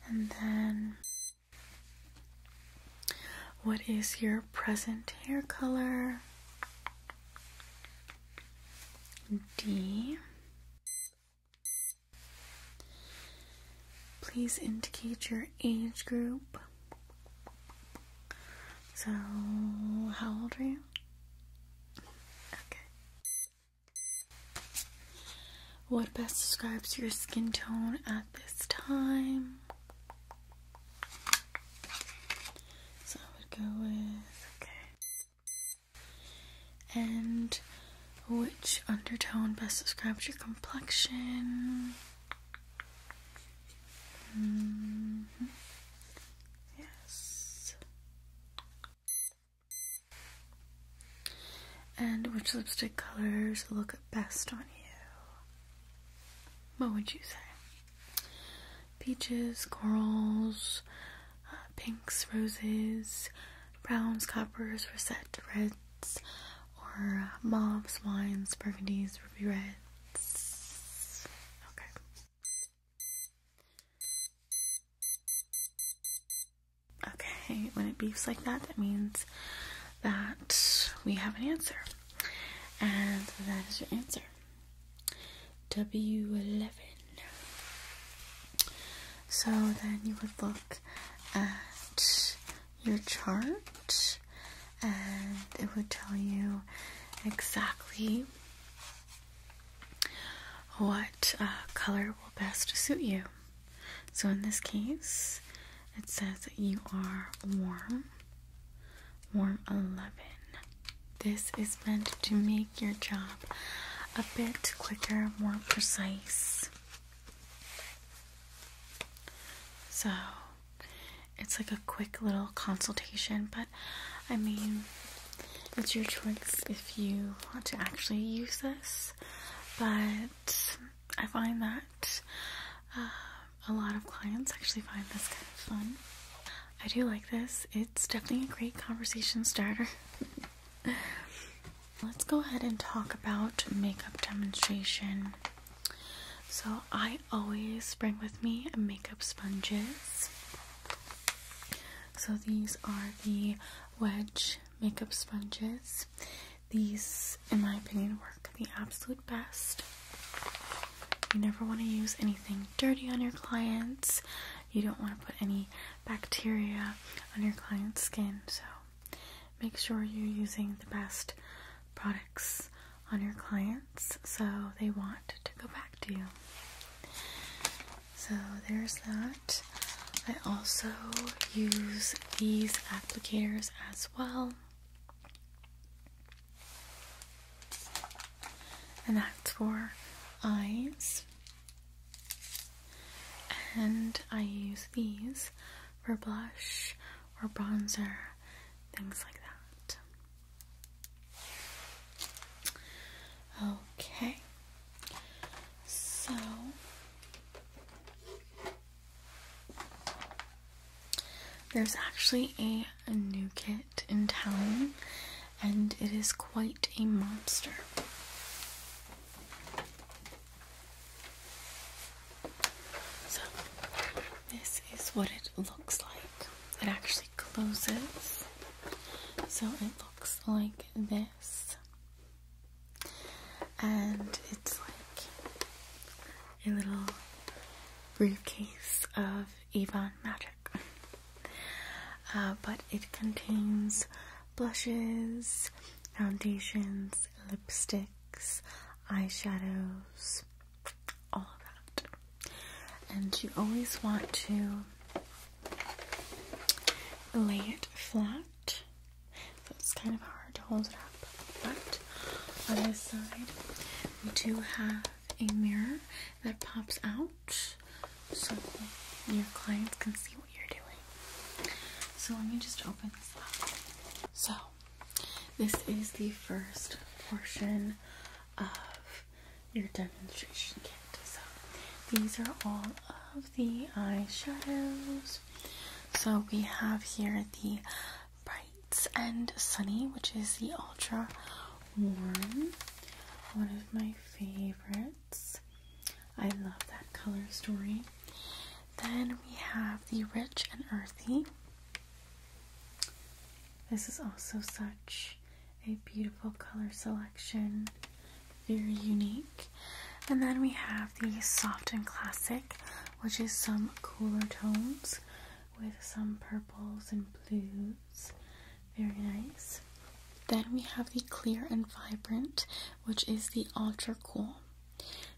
and then what is your present hair color? D. Please indicate your age group. So, how old are you? Okay. What best describes your skin tone at this time? So I would go with okay. And which undertone best describes your complexion? Mm-hmm. Yes. And which lipstick colors look best on you? What would you say? Peaches, corals, uh, pinks, roses, browns, coppers, reset, reds, or mauves, wines, burgundies, ruby reds. Okay. Okay, when it beeps like that, that means that we have an answer. And that is your answer. W11. So then you would look at your chart and it would tell you exactly what uh, color will best suit you. So in this case, it says that you are warm, warm 11. This is meant to make your job a bit quicker, more precise. So it's like a quick little consultation, but I mean, it's your choice if you want to actually use this, but I find that uh, a lot of clients actually find this kind of fun. I do like this, it's definitely a great conversation starter. Let's go ahead and talk about makeup demonstration. So, I always bring with me makeup sponges. So these are the Wedge makeup sponges. These, in my opinion, work the absolute best. You never want to use anything dirty on your clients. You don't want to put any bacteria on your client's skin. So make sure you're using the best products on your clients so they want to go back to you. So there's that. I also use these applicators as well. And that's for eyes. And I use these for blush or bronzer, things like that. Okay. So there's actually a, new kit in town and it is quite a monster. So this is what it looks like. It actually closes. So it looks like this this and it's like a little briefcase of Avon Magic uh, but it contains blushes, foundations, lipsticks, eyeshadows, all of that and you always want to lay it flat. So it's kind of hard to hold it up. But on this side, we do have a mirror that pops out so your clients can see what you're doing. So let me just open this up. So this is the first portion of your demonstration kit. So these are all of the eyeshadows. So we have here the brights and Sunny, which is the ultra warm, one of my favorites. I love that color story. Then we have the Rich and Earthy. This is also such a beautiful color selection, very unique. And then we have the soft and classic, which is some cooler tones with some purples and blues. Very nice. Then we have the clear and vibrant, which is the ultra cool.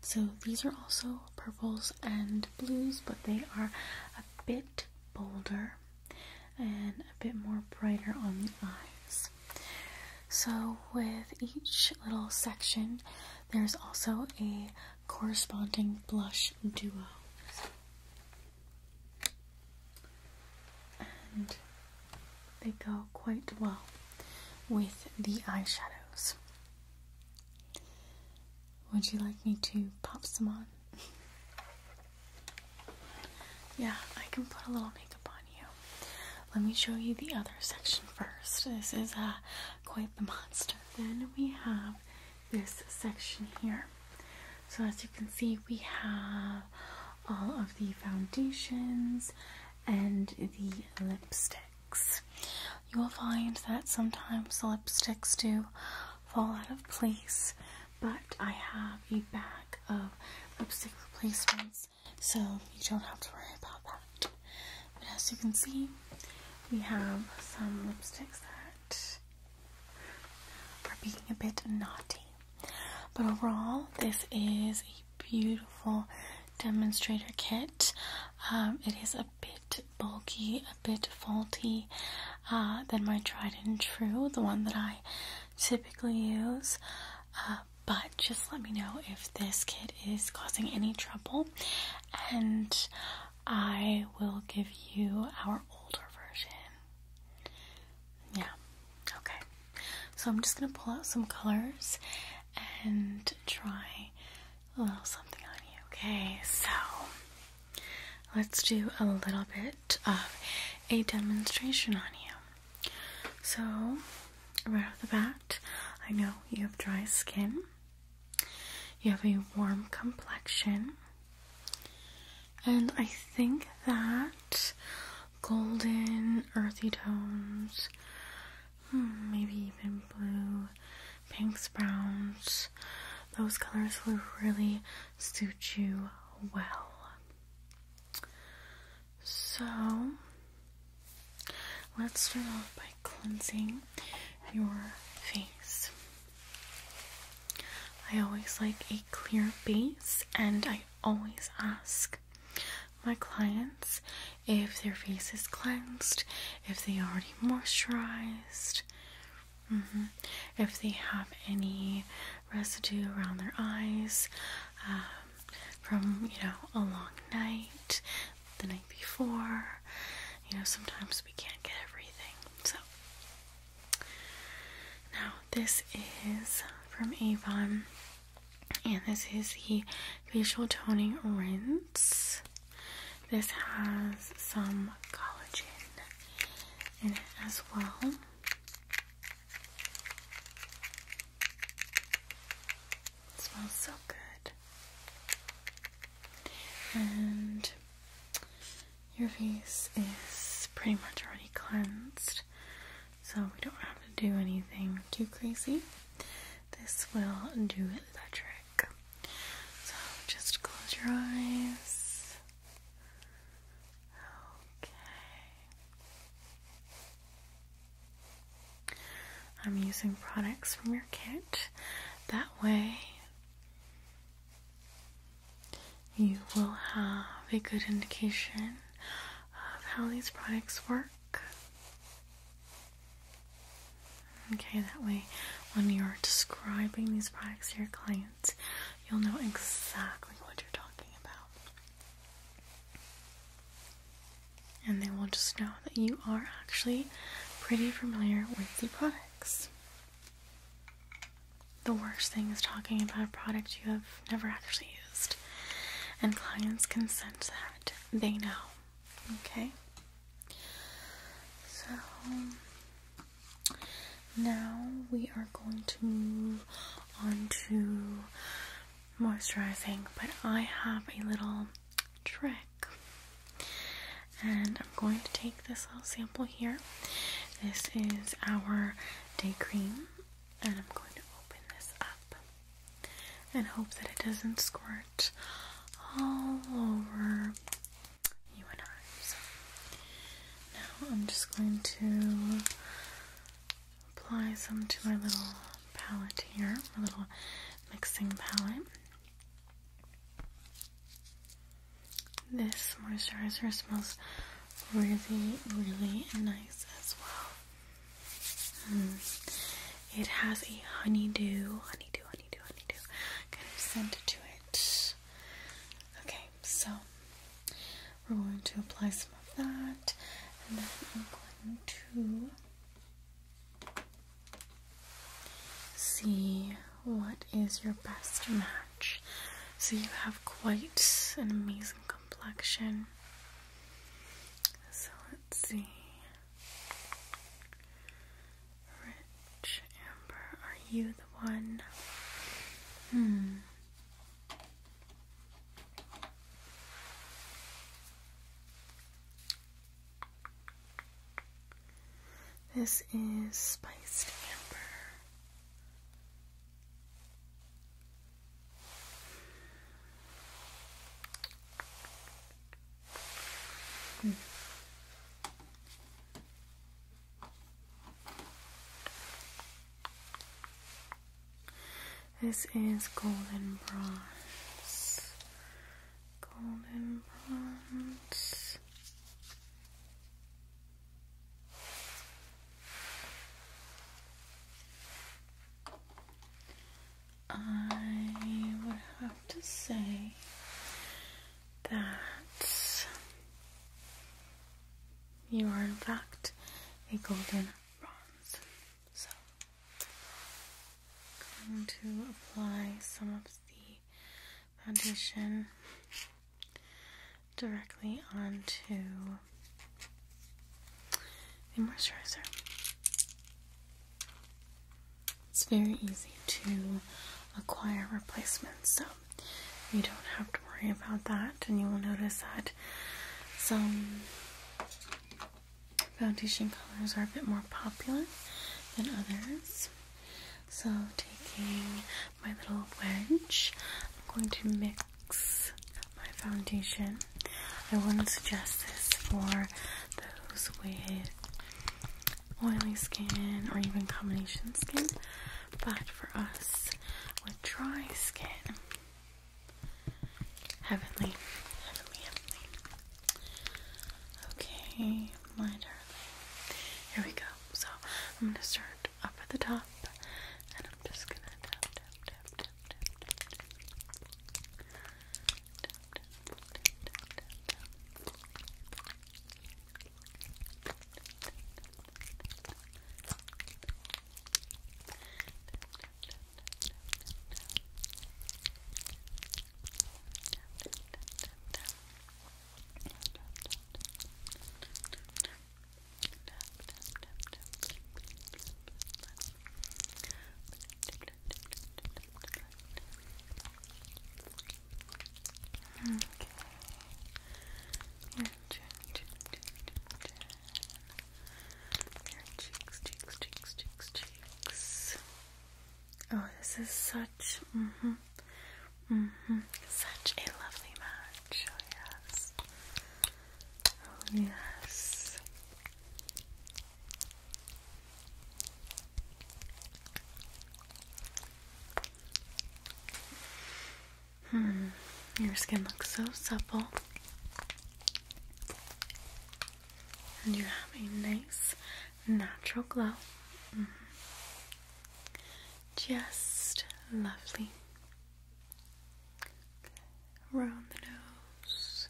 So these are also purples and blues, but they are a bit bolder and a bit more brighter on the eyes. So with each little section, there's also a corresponding blush duo. And they go quite well with the eyeshadows. Would you like me to pop some on? Yeah, I can put a little makeup on you. Let me show you the other section first. This is uh, quite the monster. Then we have this section here. So as you can see, we have all of the foundations and the lipsticks. You will find that sometimes the lipsticks do fall out of place, but I have a bag of lipstick replacements so you don't have to worry about that. But as you can see, we have some lipsticks that are being a bit naughty. But overall, this is a beautiful demonstrator kit. Um, it is a bit bulky, a bit faulty uh, than my tried and true, the one that I typically use. Uh, but just let me know if this kit is causing any trouble, and I will give you our older version. Yeah, okay. So I'm just gonna pull out some colors and try a little something on you, okay? So let's do a little bit of a demonstration on you. So, right off the bat, I know you have dry skin, you have a warm complexion, and I think that golden, earthy tones, hmm, maybe even blue, pinks, browns, those colors will really suit you well. So let's start off by cleansing your face. I always like a clear base, and I always ask my clients if their face is cleansed, if they already moisturized, mm-hmm, if they have any residue around their eyes um, from you know a long night, the night before. You know, sometimes we can't get everything. So now this is from Avon, and this is the facial toning rinse. This has some collagen in it as well smells so good. And your face is pretty much already cleansed, so we don't have to do anything too crazy. This will do the trick. So just close your eyes. Okay. I'm using products from your kit. That way, you will have a good indication of how these products work. Okay, that way, when you're describing these products to your clients, you'll know exactly what you're talking about and they will just know that you are actually pretty familiar with the products. The worst thing is talking about a product you have never actually used, and clients can sense that they know. Okay, so now we are going to move on to moisturizing, but I have a little trick. And I'm going to take this little sample here. This is our day cream, and I'm going to open this up and hope that it doesn't squirt all over you and I. So now I'm just going to apply some to my little palette here, my little mixing palette. This moisturizer smells really, really nice as well. Mm. It has a honeydew, honeydew, honeydew, honeydew kind of scent to it. Okay, so we're going to apply some of that, and then I'm going to see what is your best match. So you have quite an amazing complexion. So let's see. Rich Amber, are you the one? Hmm. This is spiced amber. This is golden bronze. Golden bronze. I would have to say that you are, in fact, a golden bronze. So, going to apply some of the foundation directly onto the moisturizer. It's very easy to acquire replacements, so you don't have to worry about that, and you will notice that some foundation colors are a bit more popular than others. So, taking my little wedge, I'm going to mix my foundation. I wouldn't suggest this for those with oily skin or even combination skin, but for us with dry skin, Heavenly, heavenly, heavenly. Okay, my darling. Here we go. So I'm gonna start up at the top and I'm just gonna Okay. Your chin, chin, chin, chin, chin cheeks, cheeks, cheeks, cheeks, cheeks. Oh, this is such, mm-hmm, mm-hmm, such a lovely match. Oh yes, oh yes. Hmm, your skin looks so supple. And you have a nice natural glow. Mm-hmm. Just lovely. Around the nose,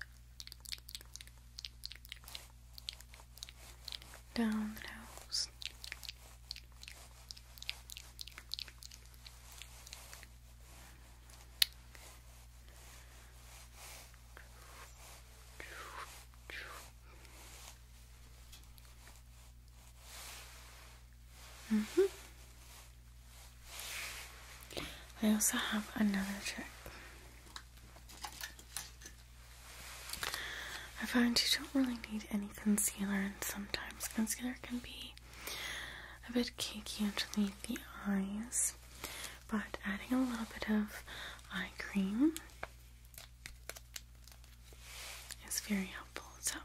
down the nose, Mm -hmm. I also have another trick. I find you don't really need any concealer, and sometimes concealer can be a bit cakey underneath the eyes but adding a little bit of eye cream is very helpful. So,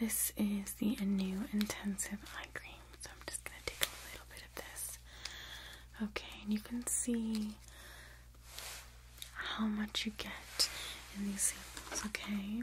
this is the new intensive eye cream. So, I'm just going to take a little bit of this. Okay, and you can see how much you get in these samples, okay?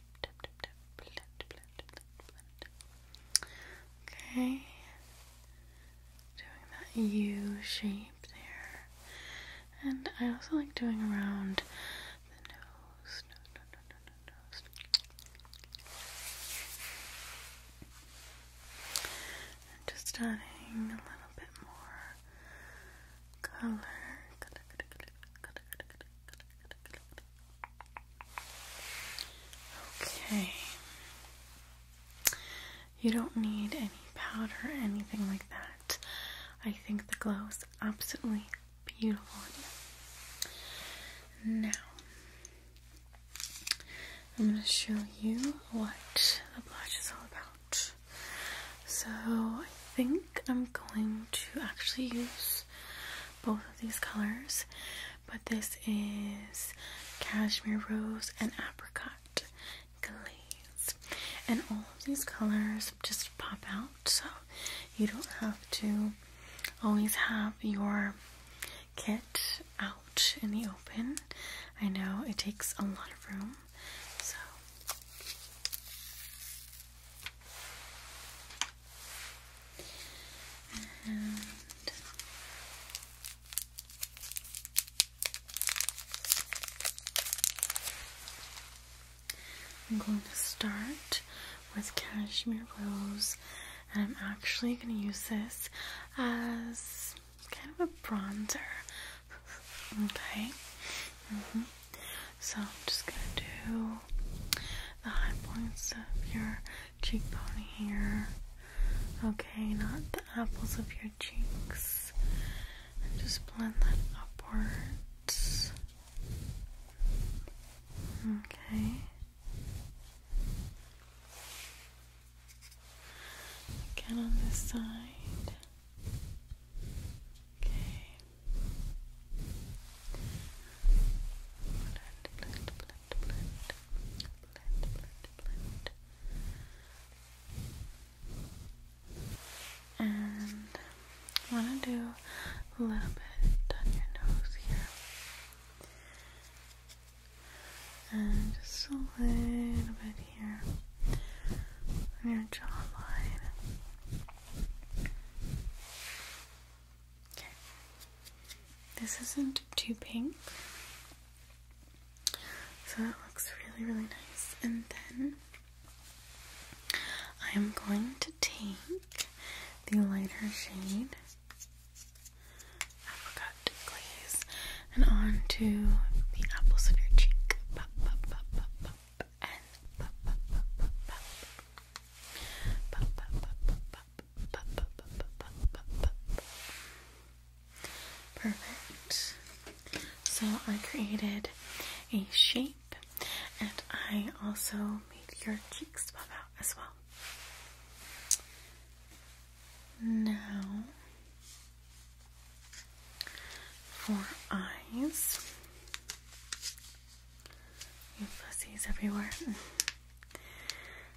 Okay. Doing that U shape there. And I also like doing around the nose. just adding a little bit more color, Okay. You don't need any powder anything like that. I think the glow is absolutely beautiful Now, I'm going to show you what the blush is all about. So, I think I'm going to actually use both of these colors, but this is cashmere rose and apricot glaze. And all of these colors just pop out, so you don't have to always have your kit out in the open. I know it takes a lot of room. So I'm going to start with Cashmere Rose, and I'm actually going to use this as kind of a bronzer. okay. Mm-hmm. So I'm just going to do the high points of your cheekbone here. Okay, not the apples of your cheeks. just blend that upwards. Okay. Again on this side. Okay. And I want to do a little bit on your nose here. And just a little bit here on your jawline. This isn't too pink. So that looks really, really nice. And then I am going to take the lighter shade Apricot Glaze and onto the apples of your cheek. Perfect. So I created a shape and I also made your cheeks pop out as well. Now for eyes. You pussies everywhere.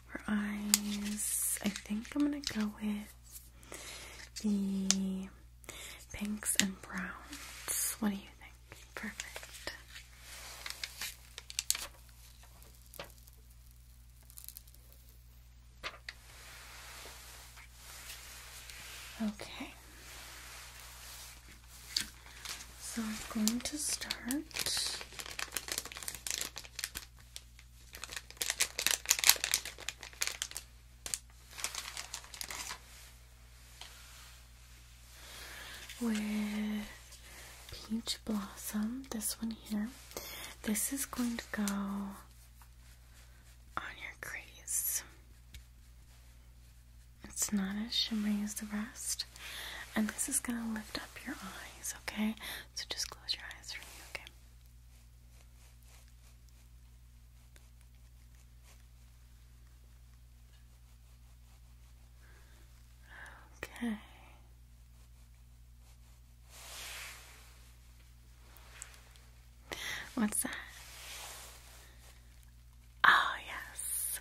Her eyes, I think I'm gonna go with the pinks and browns. What do you think? Perfect. Okay. So I'm going to start with peach blossom this one here this is going to go on your crease it's not as shimmery as the rest and this is going to lift up your eyes, okay? So just close your eyes for me, okay? Okay. What's that? Oh, yes.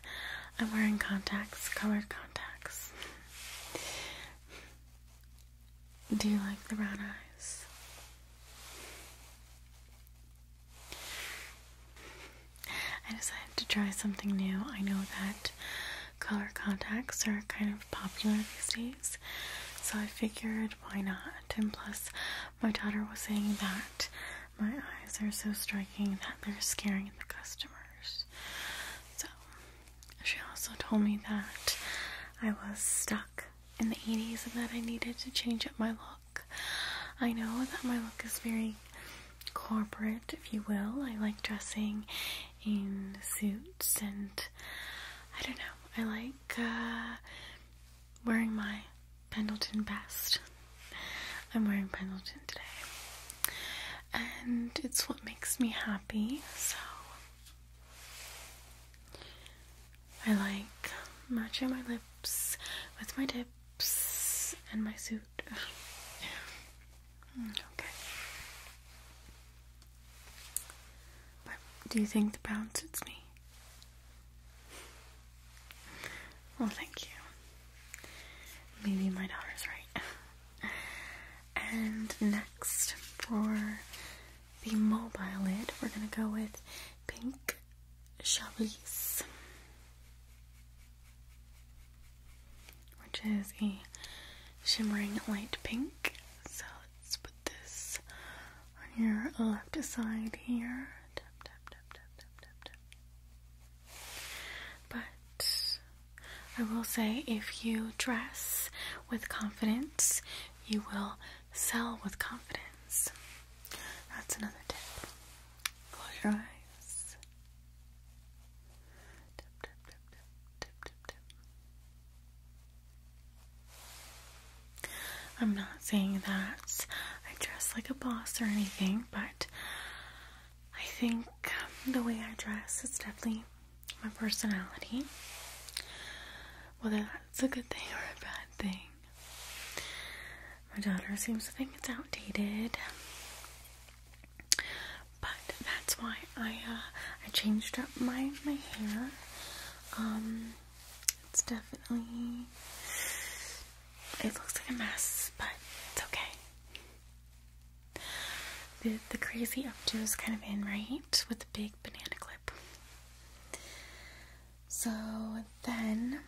I'm wearing contacts, colored contacts. Do you like the brown eyes? I decided to try something new. I know that color contacts are kind of popular these days, so I figured why not? And plus, my daughter was saying that my eyes are so striking that they're scaring the customers. So she also told me that I was stuck in the 80s and that I needed to change up my look. I know that my look is very corporate, if you will. I like dressing in suits and I don't know, I like uh, wearing my Pendleton best. I'm wearing Pendleton today and it's what makes me happy. So I like matching my lips with my tips and my suit. Mm, okay. But do you think the brown suits me? Well, thank you. Maybe my daughter's right. And next for the mobile lid, we're going to go with pink chablis, which is a shimmering light pink. So let's put this on your left side here. tap, tap, tap, tap, tap, tap. But I will say if you dress with confidence, you will sell with confidence. That's another tip. Close your eyes. Tip, tip, tip, tip, tip, tip, I'm not saying that I dress like a boss or anything, but I think the way I dress is definitely my personality, whether that's a good thing or a bad thing. My daughter seems to think it's outdated, but that's why I uh, I changed up my my hair. Um, it's definitely it looks like a mess, but it's okay. The, the crazy updo is kind of in, right? With the big banana clip. So then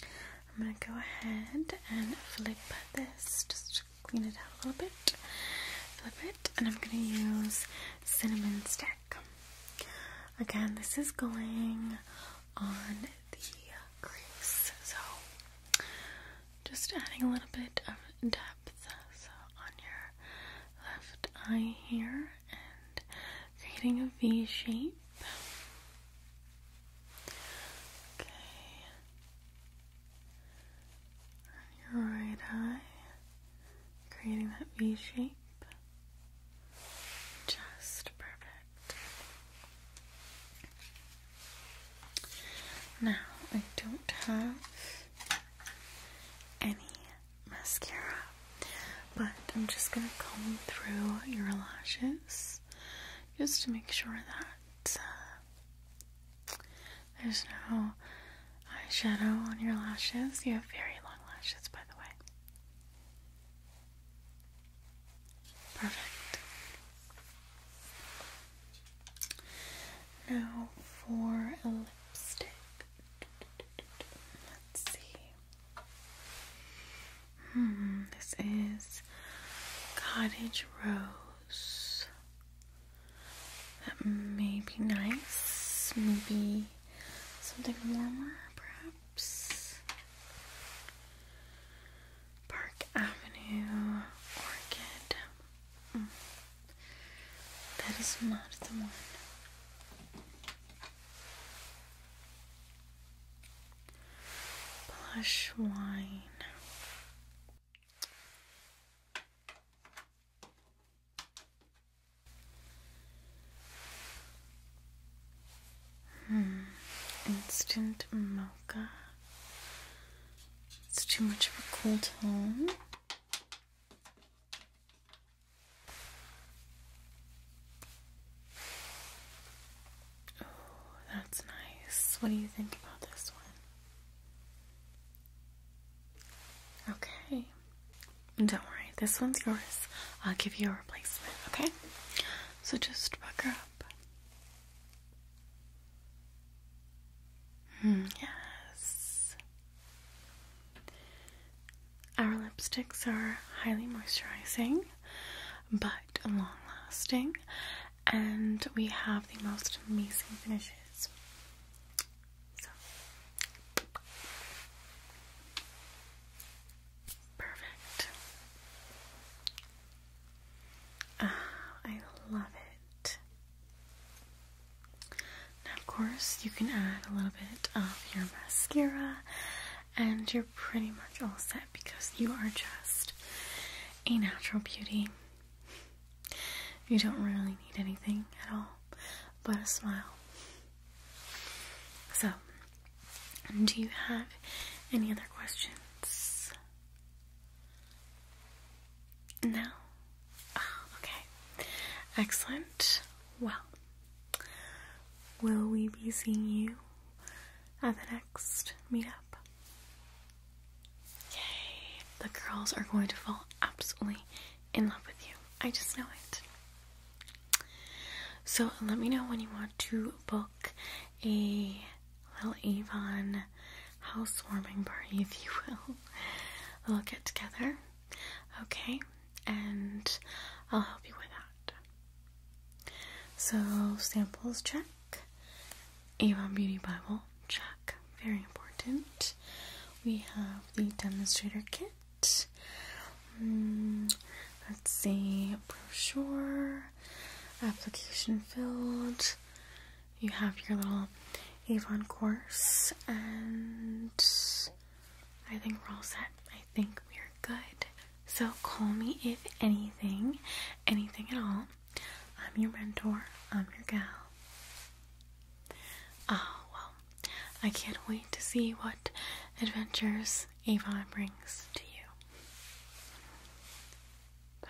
I'm going to go ahead and flip this, just clean it out a little bit. Flip it, and I'm going to use cinnamon stick. Again, this is going on the crease, so just adding a little bit of depth uh, on your left eye here and creating a V shape. Okay. your right eye, creating that V shape. Just perfect. Now, I don't have any mascara, but I'm just gonna comb through your lashes just to make sure that uh, there's no eyeshadow on your lashes. You have very long lashes, by the way. Perfect. Now for a lipstick. Let's see. Hmm, this is Cottage Rose. That may be nice. Maybe something warmer, perhaps. Park Avenue Orchid. Hmm. That is not the one. Blush wine. Hmm. Instant mocha it's too much of a cold tone. Oh, that's nice. What do you think about this one? Okay. Don't worry, this one's yours. I'll give you a replacement, okay? So just pucker up. Hmm. Yes. Our lipsticks are highly moisturizing but long lasting, and we have the most amazing finishes. Perfect. Ah, I love now, of course, you can add a little bit of your mascara, and you're pretty much all set because you are just a natural beauty. You don't really need anything at all but a smile. So, do you have any other questions? No. Oh, okay. Excellent. Well, will we be seeing you at the next meetup? Yay. The girls are going to fall absolutely in love with you. I just know it. So let me know when you want to book a little Avon housewarming party, if you will. We'll get together, okay? And I'll help you with that. So, samples check, Avon Beauty Bible check, very important. We have the demonstrator kit. Hmm, let's see, brochure, application filled, you have your little Avon course, and I think we're all set. I think we're good. So call me if anything, anything at all. I'm your mentor. I'm your gal. Oh, well, I can't wait to see what adventures Avon brings to you. Bye.